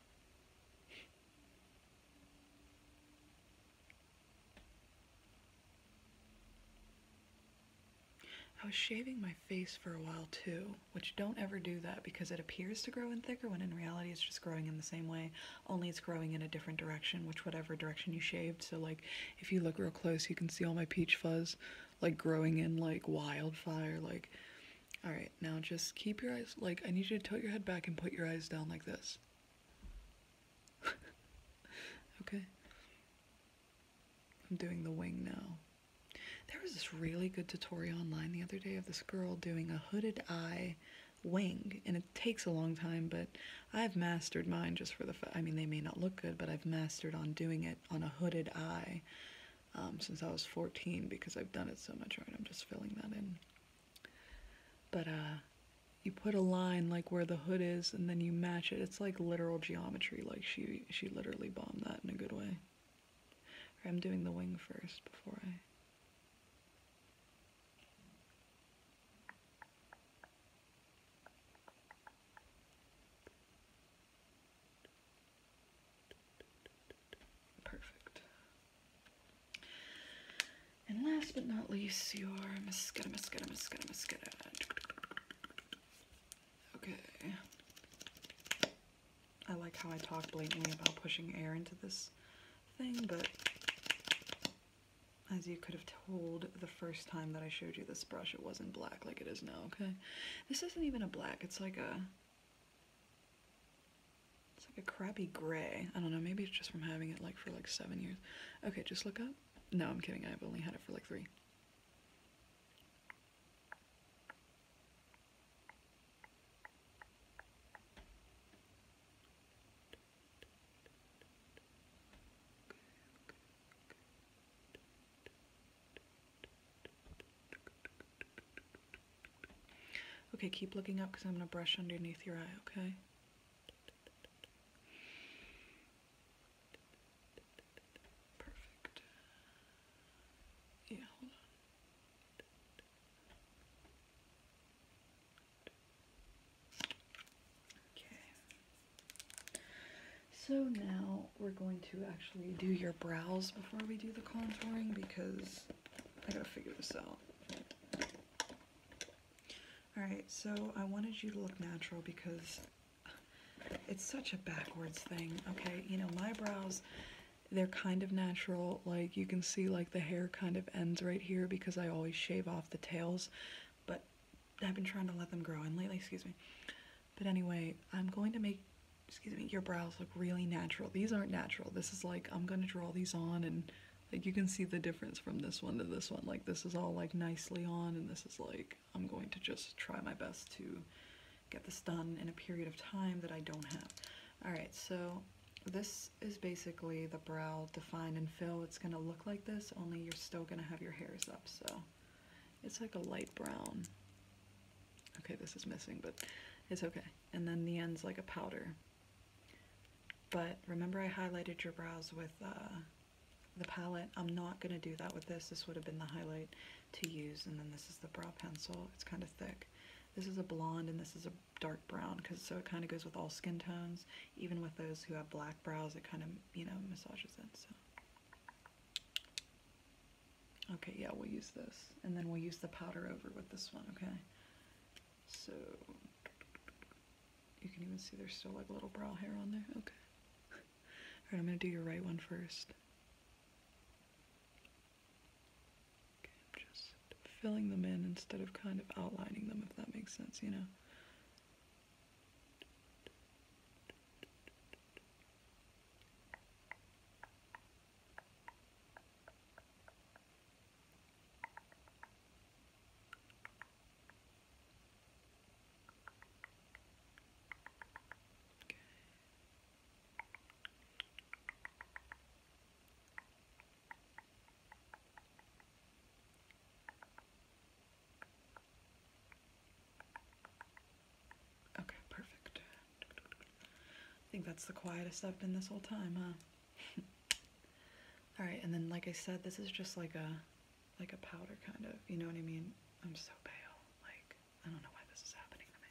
I was shaving my face for a while too, which don't ever do that because it appears to grow in thicker when in reality it's just growing in the same way, only it's growing in a different direction, which whatever direction you shaved. So like if you look real close, you can see all my peach fuzz like growing in like wildfire. Like, all right, now just keep your eyes, like I need you to tilt your head back and put your eyes down like this. okay. I'm doing the wing now. There was this really good tutorial online the other day of this girl doing a hooded eye wing, and it takes a long time, but I've mastered mine just for the I mean, they may not look good, but I've mastered on doing it on a hooded eye um, since I was 14 because I've done it so much, right? I'm just filling that in. But, uh, you put a line like where the hood is and then you match it. It's like literal geometry, like she she literally bombed that in a good way. Or I'm doing the wing first before I. Perfect. And last but not least, your Mosqueda, Mosqueda, Mosqueda, Mosqueda. Okay. I like how I talk blatantly about pushing air into this thing, but as you could have told the first time that I showed you this brush, it wasn't black like it is now, okay? This isn't even a black, it's like a, it's like a crappy gray. I don't know, maybe it's just from having it like for like seven years. Okay, just look up. No, I'm kidding, I've only had it for like three. Okay, keep looking up because I'm going to brush underneath your eye, okay? Perfect. Yeah, hold on. Okay. So now we're going to actually do your brows before we do the contouring because I gotta figure this out. Alright, so I wanted you to look natural because it's such a backwards thing, okay? You know, my brows, they're kind of natural like you can see like the hair kind of ends right here because I always shave off the tails but I've been trying to let them grow in lately excuse me but anyway I'm going to make excuse me your brows look really natural these aren't natural this is like I'm gonna draw these on and like you can see the difference from this one to this one like this is all like nicely on and this is like I'm going to just try my best to get this done in a period of time that I don't have. All right, so this is basically the brow define and fill. It's gonna look like this, only you're still gonna have your hairs up, so it's like a light brown. Okay, this is missing, but it's okay. And then the end's like a powder. But remember I highlighted your brows with uh, the palette. I'm not gonna do that with this. This would have been the highlight to use. And then this is the brow pencil. It's kind of thick. This is a blonde and this is a dark brown because so it kind of goes with all skin tones. Even with those who have black brows, it kind of, you know, massages it. So. Okay, yeah, we'll use this. And then we'll use the powder over with this one, okay? So, you can even see there's still like little brow hair on there. Okay. Alright, I'm going to do your right one first just filling them in instead of kind of outlining them, if that makes sense, you know. Okay, perfect. I think that's the quietest I've been this whole time, huh? Alright, and then like I said, this is just like a like a powder kind of, you know what I mean? I'm so pale. Like, I don't know why this is happening to me.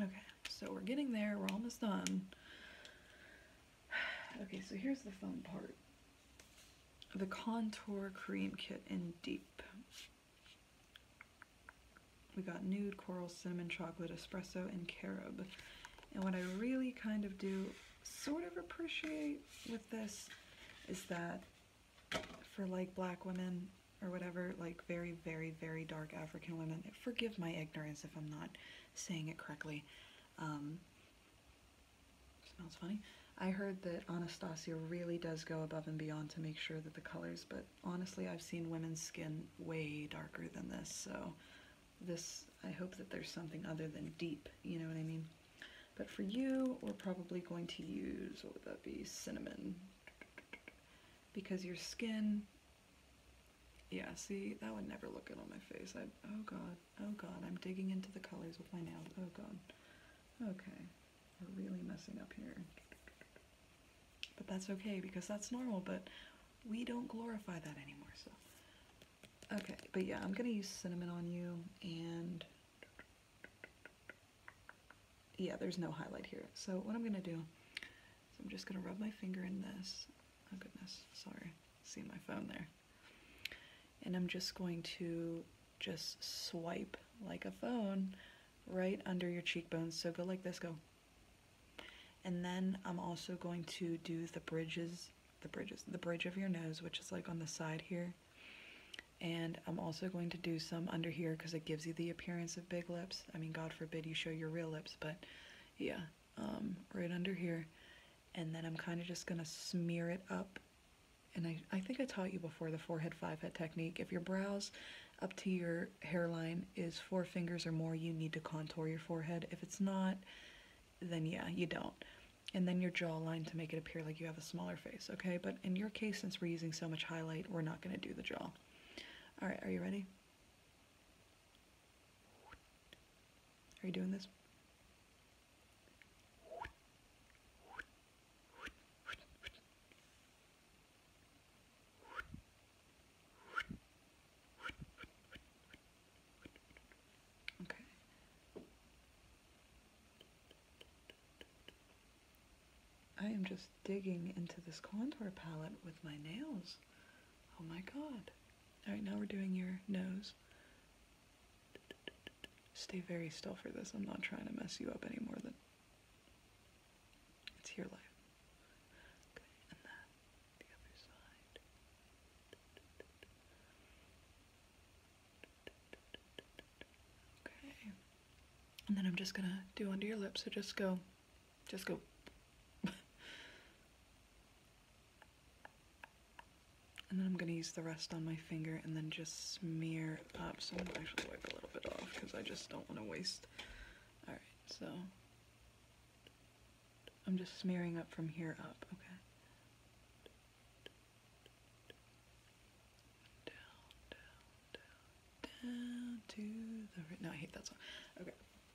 Okay, so we're getting there. We're almost done. Okay, so here's the fun part. The Contour Cream Kit in Deep. We got Nude, Coral, Cinnamon, Chocolate, Espresso, and Carob. And what I really kind of do sort of appreciate with this is that for like black women, or whatever, like very, very, very dark African women. Forgive my ignorance if I'm not saying it correctly. Um, smells funny. I heard that Anastasia really does go above and beyond to make sure that the colors, but honestly, I've seen women's skin way darker than this, so this, I hope that there's something other than deep, you know what I mean? But for you, we're probably going to use, what would that be, cinnamon. Because your skin yeah, see, that would never look good on my face. I oh god, oh god, I'm digging into the colors with my nails. Oh god. Okay. We're really messing up here. But that's okay because that's normal, but we don't glorify that anymore, so. Okay, but yeah, I'm gonna use cinnamon on you and yeah, there's no highlight here. So what I'm gonna do so I'm just gonna rub my finger in this. Oh goodness, sorry, see my phone there. And I'm just going to just swipe like a phone right under your cheekbones. So go like this, go. And then I'm also going to do the bridges, the bridges, the bridge of your nose, which is like on the side here. And I'm also going to do some under here because it gives you the appearance of big lips. I mean, God forbid you show your real lips, but yeah, um, right under here. And then I'm kind of just gonna smear it up. And I, I think I taught you before the forehead five head technique. If your brows up to your hairline is four fingers or more, you need to contour your forehead. If it's not, then yeah, you don't. And then your jawline to make it appear like you have a smaller face, okay? But in your case, since we're using so much highlight, we're not gonna do the jaw. All right, are you ready? Are you doing this? Okay. I am just digging into this contour palette with my nails. Oh my god. Alright, now we're doing your nose. Stay very still for this. I'm not trying to mess you up any more than it's your life. Okay, and then the other side. Okay. And then I'm just gonna do under your lips, so just go just go. and then I'm gonna use the rest on my finger and then just smear up. So I'm gonna actually wipe a little bit off because I just don't wanna waste. All right, so I'm just smearing up from here up, okay? down to the no, I hate that song. Okay,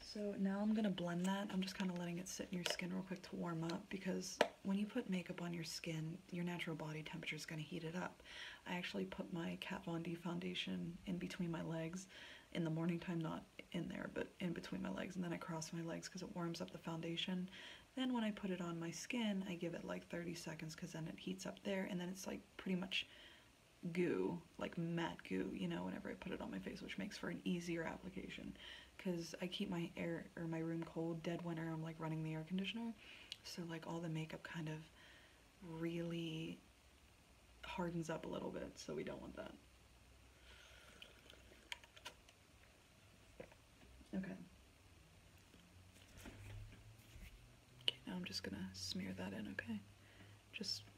So now I'm gonna blend that. I'm just kind of letting it sit in your skin real quick to warm up because when you put makeup on your skin, your natural body temperature is gonna heat it up. I actually put my Kat Von D foundation in between my legs in the morning time, not in there, but in between my legs. And then I cross my legs because it warms up the foundation. Then when I put it on my skin, I give it like 30 seconds because then it heats up there and then it's like pretty much goo, like matte goo, you know, whenever I put it on my face, which makes for an easier application. Because I keep my air or my room cold, dead winter, I'm like running the air conditioner. So like all the makeup kind of really hardens up a little bit, so we don't want that. Okay. Okay, now I'm just gonna smear that in, okay? Just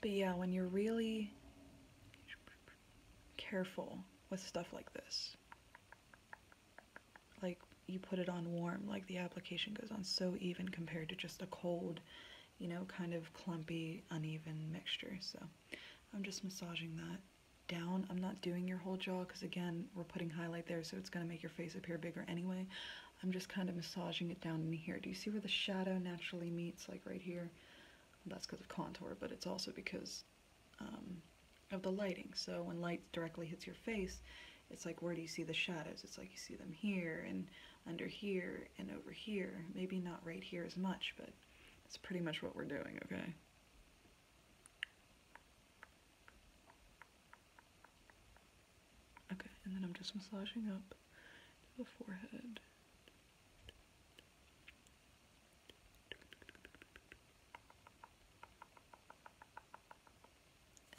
But yeah, when you're really careful with stuff like this, like you put it on warm, like the application goes on so even compared to just a cold, you know, kind of clumpy, uneven mixture. So I'm just massaging that down. I'm not doing your whole jaw because again, we're putting highlight there, so it's gonna make your face appear bigger anyway. I'm just kind of massaging it down in here. Do you see where the shadow naturally meets, like right here? That's because of contour, but it's also because um, of the lighting. So when light directly hits your face, it's like where do you see the shadows? It's like you see them here and under here and over here. Maybe not right here as much, but that's pretty much what we're doing, okay? Okay, and then I'm just massaging up the forehead.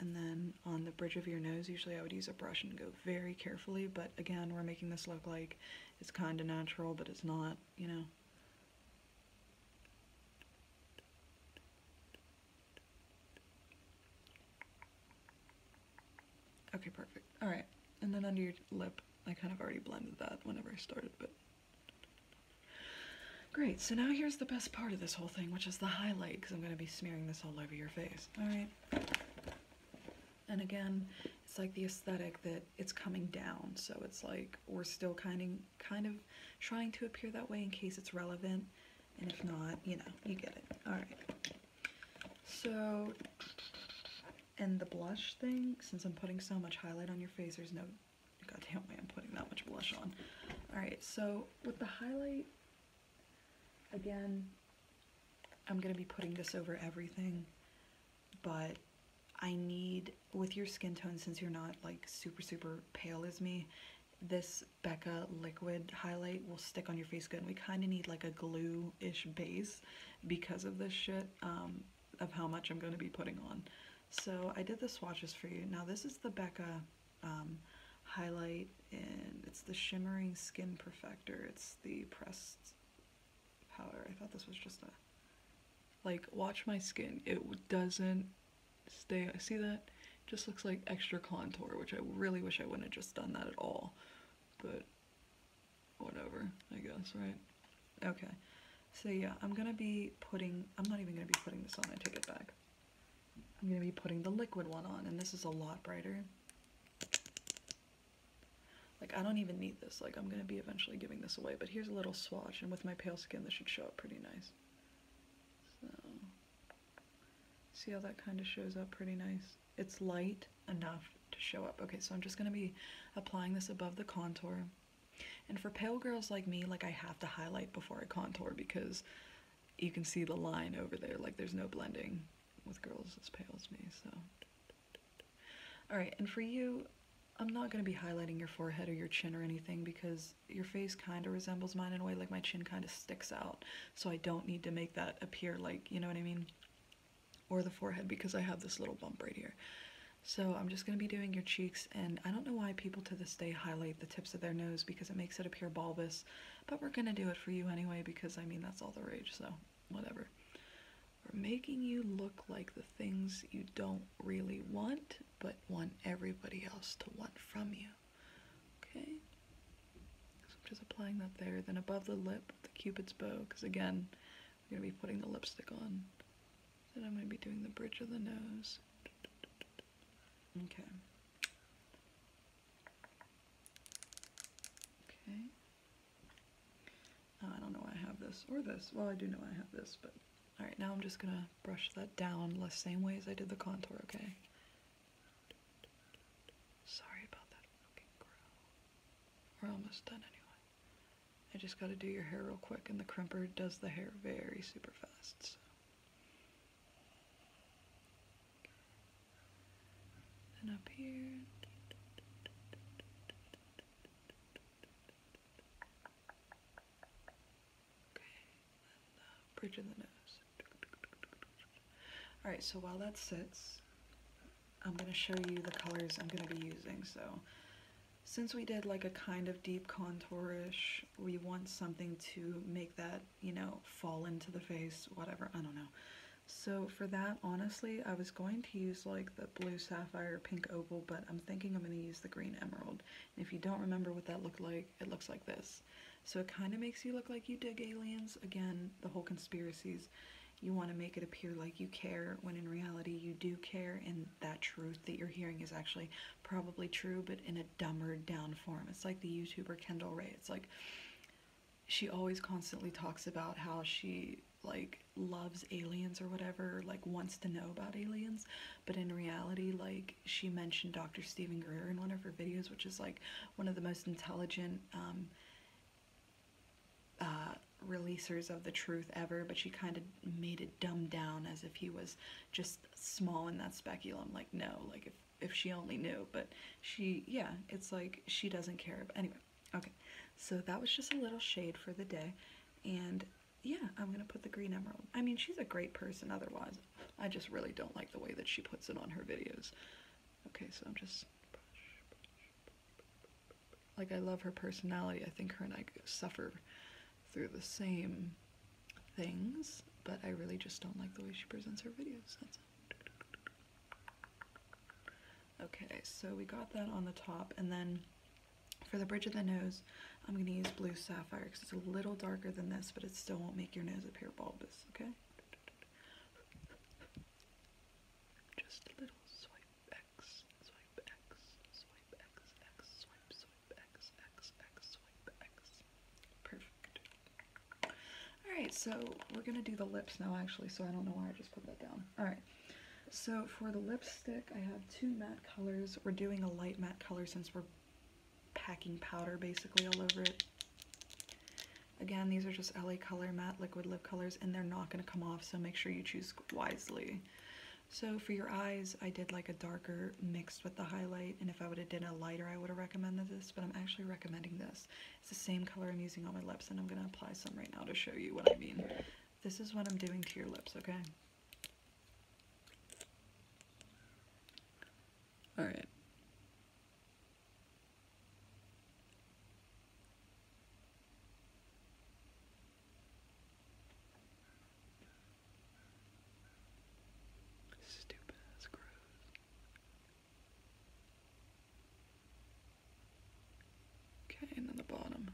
And then on the bridge of your nose, usually I would use a brush and go very carefully, but again, we're making this look like it's kind of natural, but it's not, you know. Okay, perfect. Alright, and then under your lip, I kind of already blended that whenever I started, but... Great, so now here's the best part of this whole thing, which is the highlight, because I'm going to be smearing this all over your face. Alright? And again, it's like the aesthetic that it's coming down, so it's like we're still kind of, kind of trying to appear that way in case it's relevant, and if not, you know, you get it. Alright. So, and the blush thing, since I'm putting so much highlight on your face, there's no goddamn way I'm putting that much blush on. Alright, so with the highlight, again, I'm going to be putting this over everything, but I need, with your skin tone, since you're not like super, super pale as me, this Becca liquid highlight will stick on your face good. And we kind of need like a glue-ish base because of this shit, um, of how much I'm going to be putting on. So I did the swatches for you. Now this is the Becca um, highlight, and it's the Shimmering Skin Perfector. It's the pressed powder. I thought this was just a, like, watch my skin. It doesn't stay, I see that? just looks like extra contour, which I really wish I wouldn't have just done that at all. But whatever, I guess, right? Okay. So yeah, I'm gonna be putting, I'm not even gonna be putting this on, I take it back. I'm gonna be putting the liquid one on, and this is a lot brighter. Like, I don't even need this, like, I'm gonna be eventually giving this away, but here's a little swatch, and with my pale skin, this should show up pretty nice. So, see how that kind of shows up pretty nice? it's light enough to show up. Okay, so I'm just going to be applying this above the contour. And for pale girls like me, like I have to highlight before I contour because you can see the line over there. Like there's no blending with girls as pale as me, so. All right, and for you, I'm not going to be highlighting your forehead or your chin or anything because your face kind of resembles mine in a way, like my chin kind of sticks out. So I don't need to make that appear like, you know what I mean? or the forehead because I have this little bump right here. So I'm just going to be doing your cheeks and I don't know why people to this day highlight the tips of their nose because it makes it appear bulbous, but we're going to do it for you anyway because I mean that's all the rage, so whatever. We're making you look like the things you don't really want, but want everybody else to want from you. Okay? I'm just applying that there. Then above the lip, the cupid's bow, because again, I'm going to be putting the lipstick on. and I'm going to be doing the bridge of the nose. Okay. Okay. Oh, I don't know why I have this or this. Well, I do know I have this, but... Alright, now I'm just going to brush that down the same way as I did the contour, okay? Sorry about that we're almost done anyway. I just gotta do your hair real quick, and the crimper does the hair very super fast. So. And up here. Okay, bridge of the nose. Alright, so while that sits, I'm going to show you the colors I'm going to be using. So since we did like a kind of deep contourish, we want something to make that, you know, fall into the face, whatever, I don't know. So for that, honestly, I was going to use like the blue sapphire pink opal, but I'm thinking I'm going to use the green emerald. if you don't remember what that looked like, it looks like this. So it kind of makes you look like you dig aliens. Again, the whole conspiracies. You want to make it appear like you care when in reality you do care, and that truth that you're hearing is actually probably true, but in a dumber down form. It's like the YouTuber Kendall Rae. It's like she always constantly talks about how she like loves aliens or whatever, like wants to know about aliens, but in reality, like she mentioned Dr. Stephen Greer in one of her videos, which is like one of the most intelligent um, uh, releasers of the truth ever, but she kind of made it dumbed down as if he was just small in that speculum. Like, no, like if, if she only knew, but she, yeah, it's like she doesn't care. But anyway, okay, so that was just a little shade for the day. And yeah, I'm gonna put the green emerald. I mean, she's a great person otherwise. I just really don't like the way that she puts it on her videos. Okay, so I'm just like I love her personality. I think her and I suffer through the same things, but I really just don't like the way she presents her videos. Okay, so we got that on the top, and then for the bridge of the nose, I'm going to use Blue Sapphire because it's a little darker than this, but it still won't make your nose appear bulbous, okay? Just a little swipe X, swipe X, swipe X, X, swipe, swipe X, X, X, swipe X. Perfect. Alright, so we're gonna do the lips now actually, so I don't know why I just put that down. Alright. So for the lipstick, I have two matte colors. We're doing a light matte color since we're packing powder basically all over it. Again, these are just LA Color Matte Liquid Lip Colors and they're not going to come off, so make sure you choose wisely. So for your eyes, I did like a darker mixed with the highlight, and if I would have did a lighter, I would have recommended this, but I'm actually recommending this. It's the same color I'm using on my lips, and I'm going to apply some right now to show you what I mean. This is what I'm doing to your lips, okay? Alright. Stupid ass grows. Okay, and then the bottom.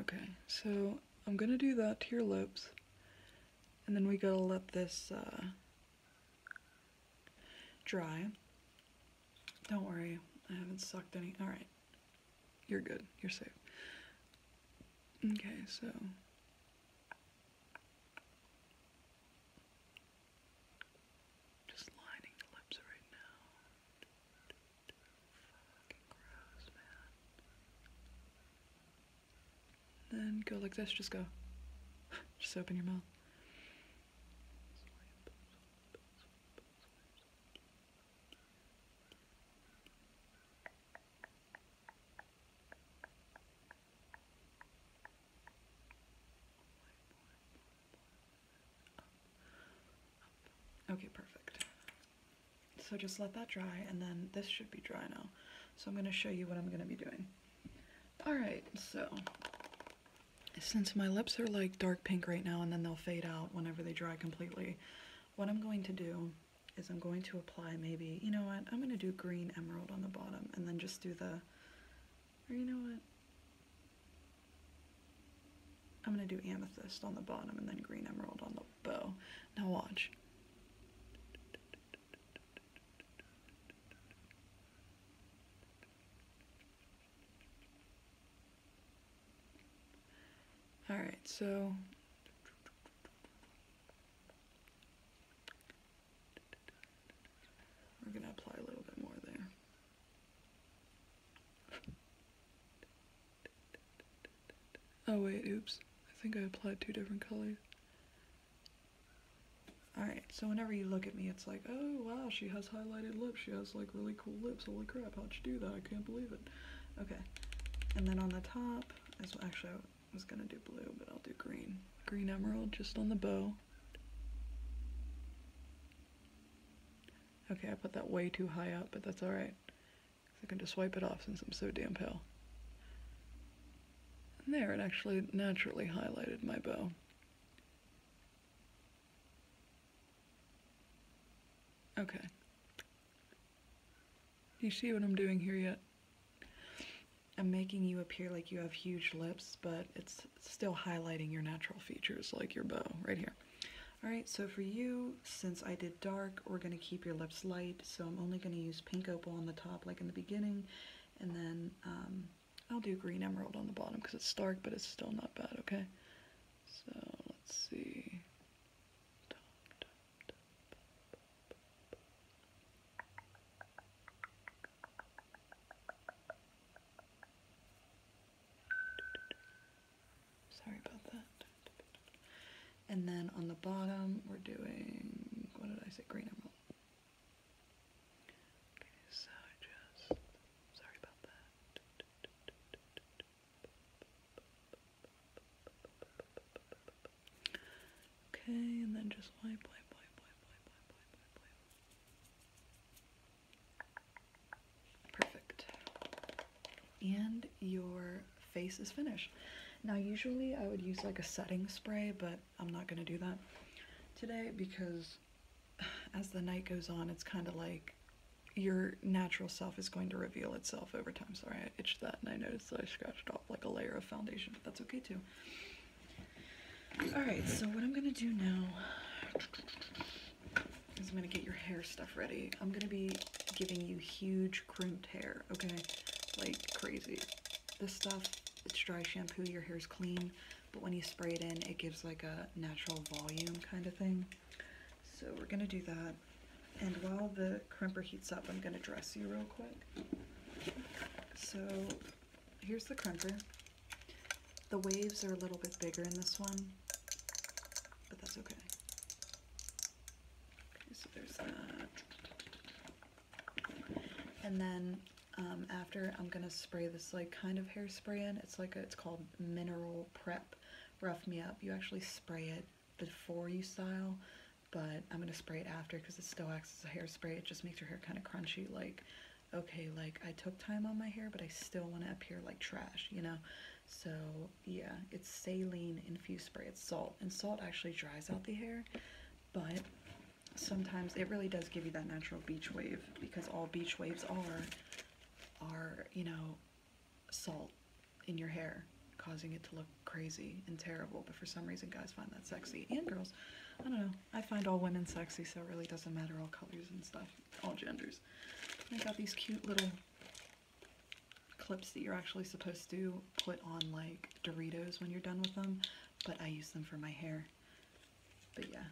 Okay, so I'm gonna do that to your lips, and then we gotta let this uh, dry. Don't worry, I haven't sucked any. Alright. You're good. You're safe. Okay, so. Just lining the lips right now. Then go like this, just go. just open your mouth. Okay, perfect. So just let that dry, and then this should be dry now. So I'm going to show you what I'm going to be doing. Alright, so since my lips are like dark pink right now, and then they'll fade out whenever they dry completely, what I'm going to do is I'm going to apply maybe, you know what, I'm going to do green emerald on the bottom and then just do the, or you know what, I'm going to do amethyst on the bottom and then green emerald on the bow. Now watch. Alright, so we're going to apply a little bit more there. Oh wait, oops. I think I applied two different colors. Alright, so whenever you look at me, it's like, oh wow, she has highlighted lips, she has like really cool lips, holy crap, how'd she do that, I can't believe it. Okay, and then on the top, as well. Actually, I was gonna do blue, but I'll do green. Green emerald just on the bow. Okay, I put that way too high up, but that's alright. I can just wipe it off since I'm so damn pale. And there, it actually naturally highlighted my bow. Okay. You see what I'm doing here yet? I'm making you appear like you have huge lips, but it's still highlighting your natural features like your bow right here. All right, so for you, since I did dark, we're gonna keep your lips light, so I'm only gonna use pink opal on the top like in the beginning, and then um, I'll do green emerald on the bottom because it's dark, but it's still not bad, okay? So let's see. Sorry about that. And then on the bottom, we're doing, what did I say, green emerald. Okay, so just, sorry about that. Okay, and then just wipe, wipe, wipe, wipe, wipe, wipe, wipe, wipe, Perfect. And your face is finished. Now, usually I would use like a setting spray, but I'm not going to do that today because as the night goes on, it's kind of like your natural self is going to reveal itself over time. Sorry, I itched that and I noticed that I scratched off like a layer of foundation, but that's okay too. Alright, so what I'm going to do now is I'm going to get your hair stuff ready. I'm going to be giving you huge crimped hair, okay? Like crazy. This stuff, it's dry shampoo, your hair's clean, but when you spray it in, it gives like a natural volume kind of thing. So we're going to do that. And while the crimper heats up, I'm going to dress you real quick. So here's the crimper. The waves are a little bit bigger in this one, but that's okay. so there's that. And then um, after, I'm going to spray this like kind of hairspray in. It's like it's called Mineral Prep Rough Me Up. You actually spray it before you style, but I'm going to spray it after because it still acts as a hairspray. It just makes your hair kind of crunchy, like, okay, like I took time on my hair, but I still want to appear like trash, you know? So yeah, it's saline infused spray, it's salt, and salt actually dries out the hair, but sometimes it really does give you that natural beach wave because all beach waves are, are, you know, salt in your hair, causing it to look crazy and terrible. But for some reason, guys find that sexy. And girls, I don't know. I find all women sexy, so it really doesn't matter all colors and stuff, all genders. I got these cute little clips that you're actually supposed to put on like Doritos when you're done with them, but I use them for my hair. But yeah.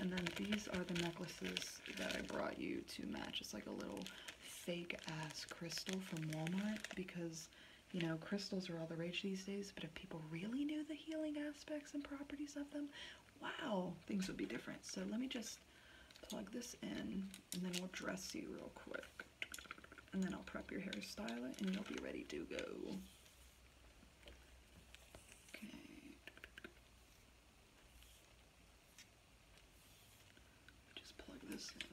And then these are the necklaces that I brought you to match. It's like a little fake ass crystal from Walmart because you know crystals are all the rage these days, but if people really knew the healing aspects and properties of them, wow, things would be different. So let me just plug this in and then we'll dress you real quick. And then I'll prep your hairstyle and you'll be ready to go. Okay. Just plug this in.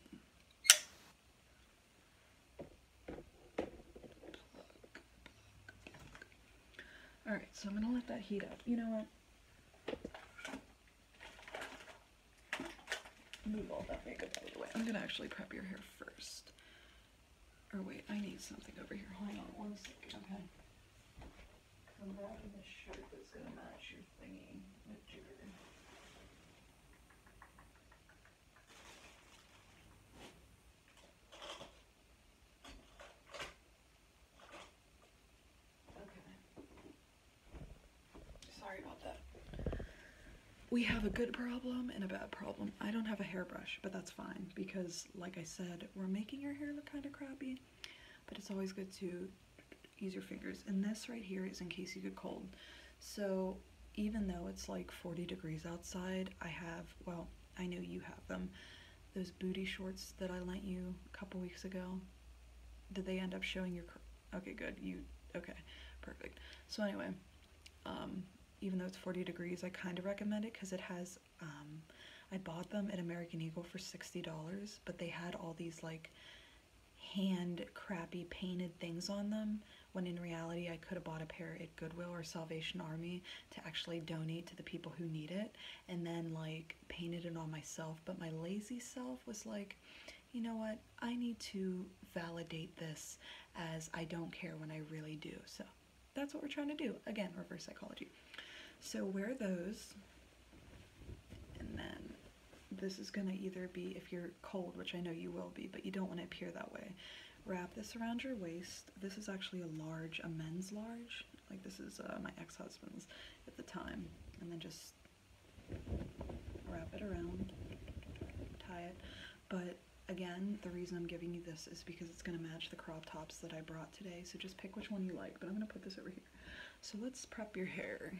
Alright, so I'm going to let that heat up. You know what? Move all that makeup out I'm going to actually prep your hair first. Or wait, I need something over here. Hang on one second, okay? Come back with a shirt that's going to match your Okay. Sorry about that. We have a good problem and a bad problem. I don't have a hairbrush, but that's fine because, like I said, we're making our hair look kind of crappy, but it's always good to use your fingers. And this right here is in case you get cold. So even though it's like 40 degrees outside, I have, well, I know you have them, those booty shorts that I lent you a couple weeks ago. Did they end up showing your, okay, good, you, okay, perfect. So anyway, um, even though it's 40 degrees, I kind of recommend it because it has, um, I bought them at American Eagle for $60, but they had all these like hand crappy painted things on them when in reality I could have bought a pair at Goodwill or Salvation Army to actually donate to the people who need it and then like painted it on myself but my lazy self was like you know what I need to validate this as I don't care when I really do so that's what we're trying to do again reverse psychology so wear those and then this is going to either be, if you're cold, which I know you will be, but you don't want to appear that way, wrap this around your waist. This is actually a large, a men's large. Like this is uh, my ex-husband's at the time. And then just wrap it around, tie it. But again, the reason I'm giving you this is because it's going to match the crop tops that I brought today. So just pick which one you like, but I'm going to put this over here. So let's prep your hair.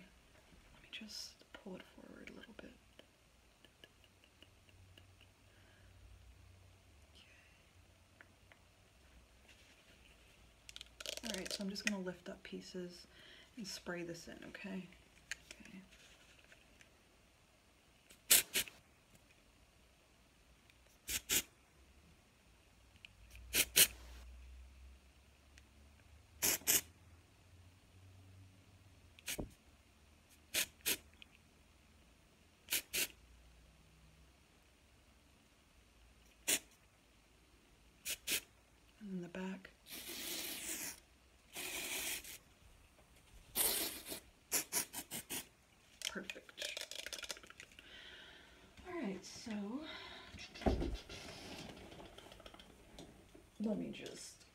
Let me just pull it forward a little bit. Alright, so I'm just going to lift up pieces and spray this in, Okay. And the back. Perfect. All right, so let me just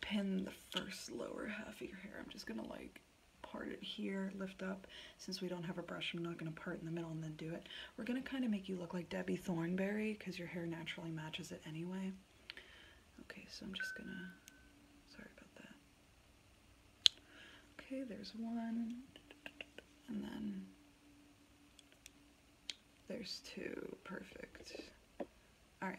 pin the first lower half of your hair. I'm just gonna like part it here, lift up. Since we don't have a brush, I'm not gonna part in the middle and then do it. We're gonna kind of make you look like Debbie Thornberry because your hair naturally matches it anyway. Okay, so I'm just gonna, sorry about that. Okay, there's one, and then there's two, perfect. All right,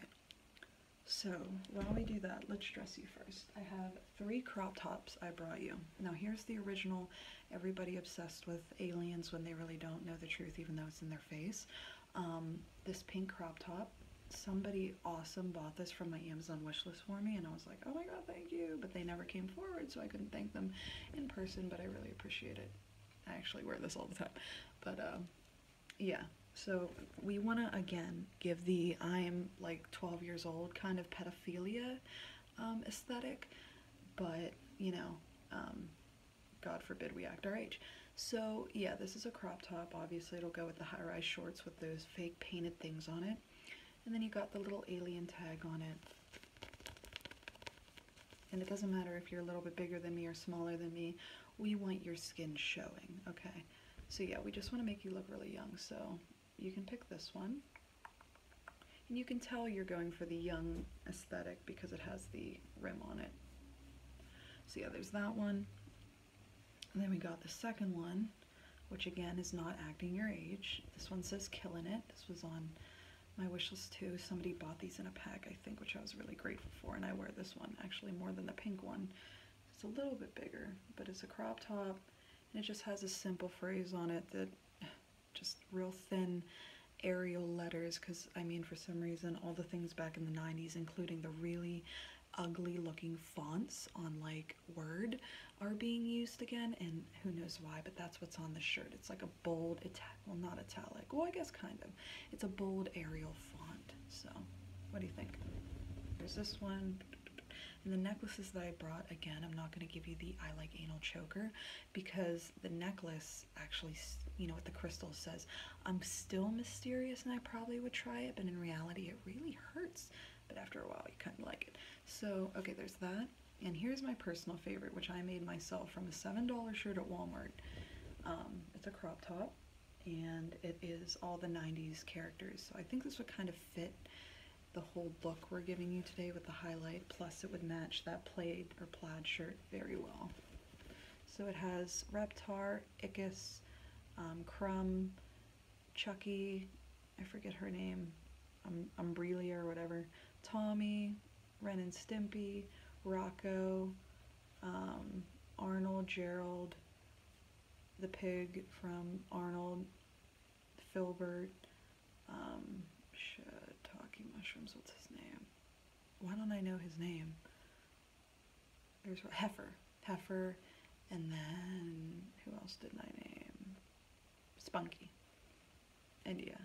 so while we do that, let's dress you first. I have three crop tops I brought you. Now here's the original, everybody obsessed with aliens when they really don't know the truth even though it's in their face. Um, this pink crop top, somebody awesome bought this from my Amazon wishlist for me and I was like, oh my god, thank you, but they never came forward so I couldn't thank them in person, but I really appreciate it. I actually wear this all the time. But um, yeah, so we want to again give the I'm like 12 years old kind of pedophilia um, aesthetic, but you know, um, God forbid we act our age. So yeah, this is a crop top. Obviously, it'll go with the high-rise shorts with those fake painted things on it. And then you got the little alien tag on it and it doesn't matter if you're a little bit bigger than me or smaller than me, we want your skin showing, okay? So yeah, we just want to make you look really young, so you can pick this one. And you can tell you're going for the young aesthetic because it has the rim on it. So yeah, there's that one. And then we got the second one, which again is not acting your age. This one says Killing It. This was on my wish list too. Somebody bought these in a pack, I think, which I was really grateful for. And I wear this one actually more than the pink one. It's a little bit bigger, but it's a crop top. And it just has a simple phrase on it that just real thin Arial letters because I mean for some reason all the things back in the 90s including the really ugly looking fonts on like Word are being used again and who knows why but that's what's on the shirt. It's like a bold, Ital well not italic, well I guess kind of. It's a bold Arial font, so what do you think? There's this one, and the necklaces that I brought, again, I'm not going to give you the I like anal choker because the necklace actually, you know, what the crystal says, I'm still mysterious and I probably would try it, but in reality it really hurts. But after a while you kind of like it. So, okay, there's that. And here's my personal favorite, which I made myself from a $7 shirt at Walmart um, it's a crop top and it is all the 90s characters. So I think this would kind of fit the whole look we're giving you today with the highlight, plus it would match that plaid or plaid shirt very well. So it has Reptar, Ickis, um, Crumb, Chucky, I forget her name, um, or whatever, Tommy, Ren and Stimpy, Rocco, um, Arnold, Gerald, the pig from Arnold, Filbert, um, shiitake mushrooms, what's his name? Why don't I know his name? There's Heifer. Heifer, and then who else did I name? Spunky. And yeah,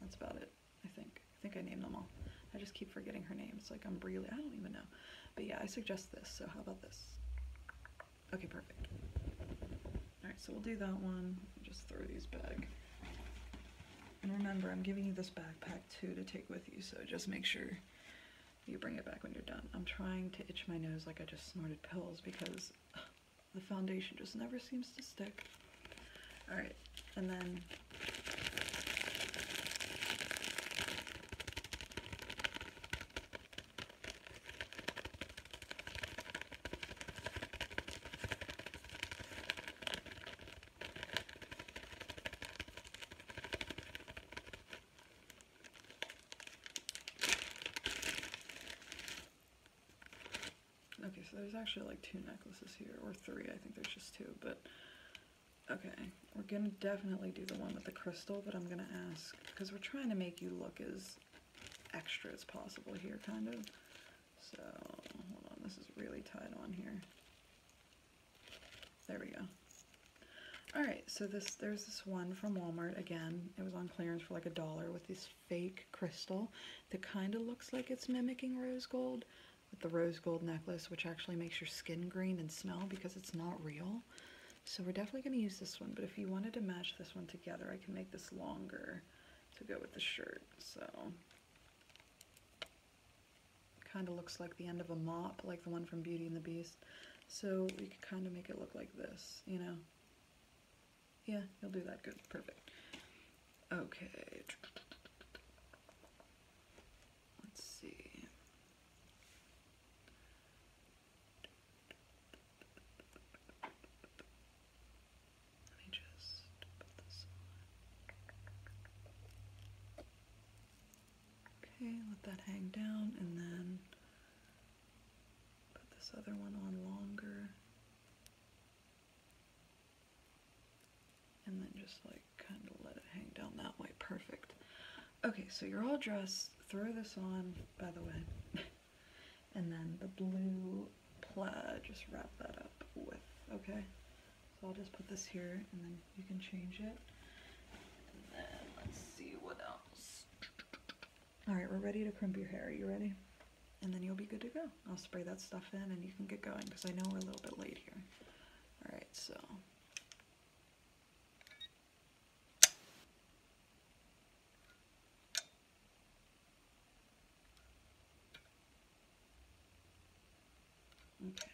that's about it. I think. I think I named them all. I just keep forgetting her names. like I'm really, I don't even know. But yeah, I suggest this. So how about this? Okay, perfect. All right, so we'll do that one. Just throw these back. And remember, I'm giving you this backpack too to take with you. So just make sure you bring it back when you're done. I'm trying to itch my nose like I just snorted pills because the foundation just never seems to stick. All right, and then Okay, so there's actually like two necklaces here, or three, I think there's just two, but okay. We're gonna definitely do the one with the crystal, but I'm gonna ask, because we're trying to make you look as extra as possible here, kind of. So, hold on, this is really tight on here. There we go. Alright, so this there's this one from Walmart again. It was on clearance for like a dollar with this fake crystal that kind of looks like it's mimicking rose gold, with the rose gold necklace, which actually makes your skin green and smell because it's not real. So we're definitely going to use this one, but if you wanted to match this one together, I can make this longer to go with the shirt. So kind of looks like the end of a mop, like the one from Beauty and the Beast. So we could kind of make it look like this, you know? Yeah, you'll do that good, perfect. Okay. Let's see. Let me just Okay, let that hang down and then put this other one on longer and then just like kind of let it hang down that way. Perfect. Okay, so you're all dressed. Throw this on, by the way. and then the blue plaid, just wrap that up with, okay? So I'll just put this here and then you can change it. And then let's see what else. All right, we're ready to crimp your hair. Are you ready? and then you'll be good to go. I'll spray that stuff in and you can get going because I know we're a little bit late here. All right, so. Okay,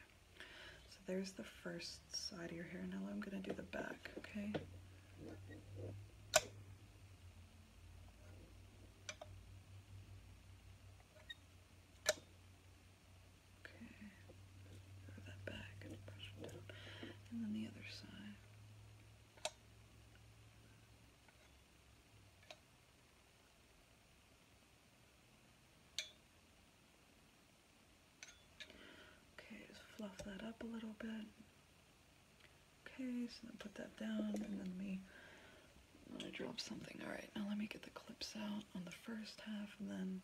so there's the first side of your hair. Now I'm gonna do the back, okay? Okay, move that back and brush it down, and then the other side. Okay, just fluff that up a little bit. Okay, so then put that down, and then me I dropped something. Alright, now let me get the clips out on the first half and then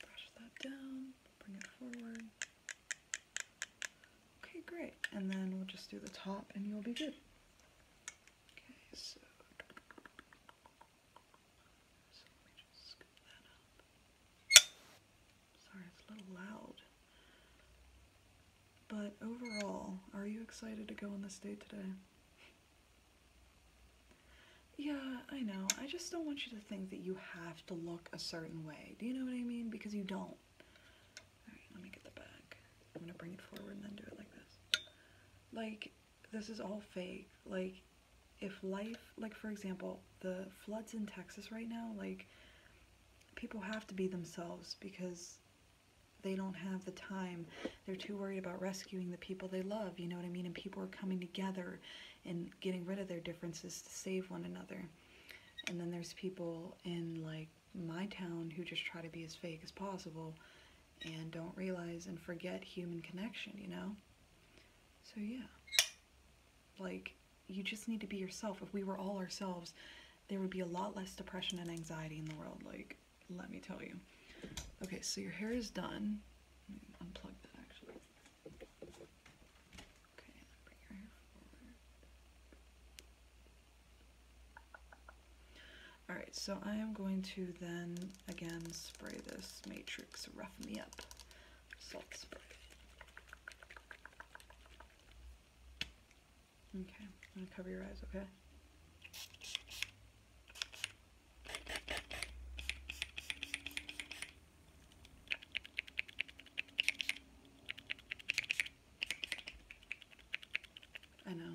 brush that down, bring it forward. Okay, great. And then we'll just do the top and you'll be good. Okay, so, let me just scoop that up. Sorry, it's a little loud. But overall, are you excited to go on this date today? Yeah, I know. I just don't want you to think that you have to look a certain way. Do you know what I mean? Because you don't. Alright, let me get the back. I'm gonna bring it forward and then do it like this. Like, this is all fake. Like, if life, like for example, the floods in Texas right now, like, people have to be themselves because they don't have the time. They're too worried about rescuing the people they love, you know what I mean? And people are coming together and getting rid of their differences to save one another. And then there's people in like my town who just try to be as fake as possible and don't realize and forget human connection, you know? So yeah. Like you just need to be yourself. If we were all ourselves, there would be a lot less depression and anxiety in the world. Like, let me tell you. Okay, so your hair is done. unplug that actually. Okay, bring your hair forward. Alright, so I am going to then again spray this matrix rough me up salt spray. Okay, I'm gonna cover your eyes, okay? I know,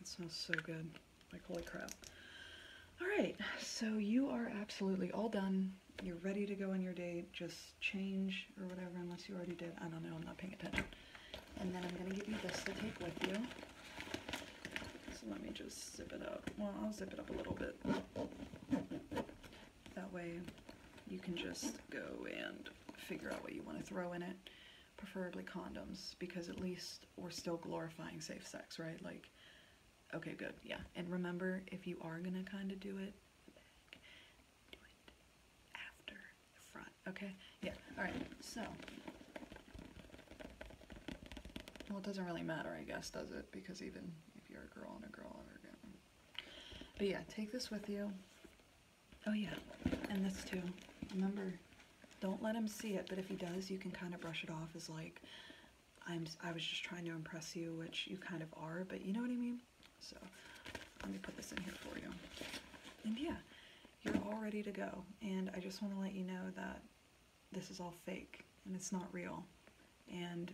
it smells so good, like holy crap. All right, so you are absolutely all done. You're ready to go on your date, just change or whatever, unless you already did. I don't know, I'm not paying attention. And then I'm going to give you this to take with you. So let me just zip it up. Well, I'll zip it up a little bit. That way you can just go and figure out what you want to throw in it, preferably condoms, because at least we're still glorifying safe sex, right? Like, okay, good, yeah. And remember, if you are going to kind of do it, after front. Okay, yeah, all right, so. Well, it doesn't really matter, I guess, does it? Because even if you're a girl and a girl, But yeah, take this with you. Oh yeah, and this too. Remember, don't let him see it, but if he does, you can kind of brush it off as like, I'm, I was just trying to impress you, which you kind of are, but you know what I mean? So, let me put this in here for you. And yeah, you're all ready to go. And I just want to let you know that this is all fake and it's not real. And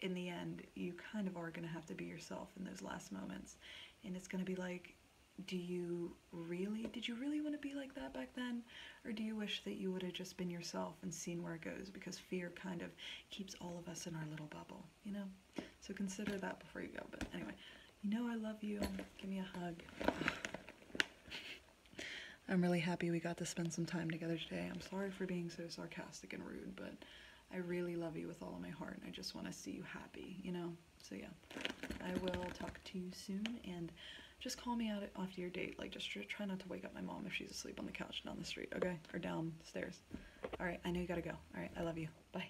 in the end, you kind of are going to have to be yourself in those last moments. And it's going to be like, do you really, did you really want to be like that back then? Or do you wish that you would have just been yourself and seen where it goes? Because fear kind of keeps all of us in our little bubble, you know? So consider that before you go. But anyway, you know I love you. Give me a hug. I'm really happy we got to spend some time together today. I'm sorry for being so sarcastic and rude, but I really love you with all of my heart, and I just want to see you happy, you know? So yeah, I will talk to you soon, and just call me out after your date. Like, just try not to wake up my mom if she's asleep on the couch down the street, okay? Or downstairs. All right, I know you gotta go. All right, I love you. Bye.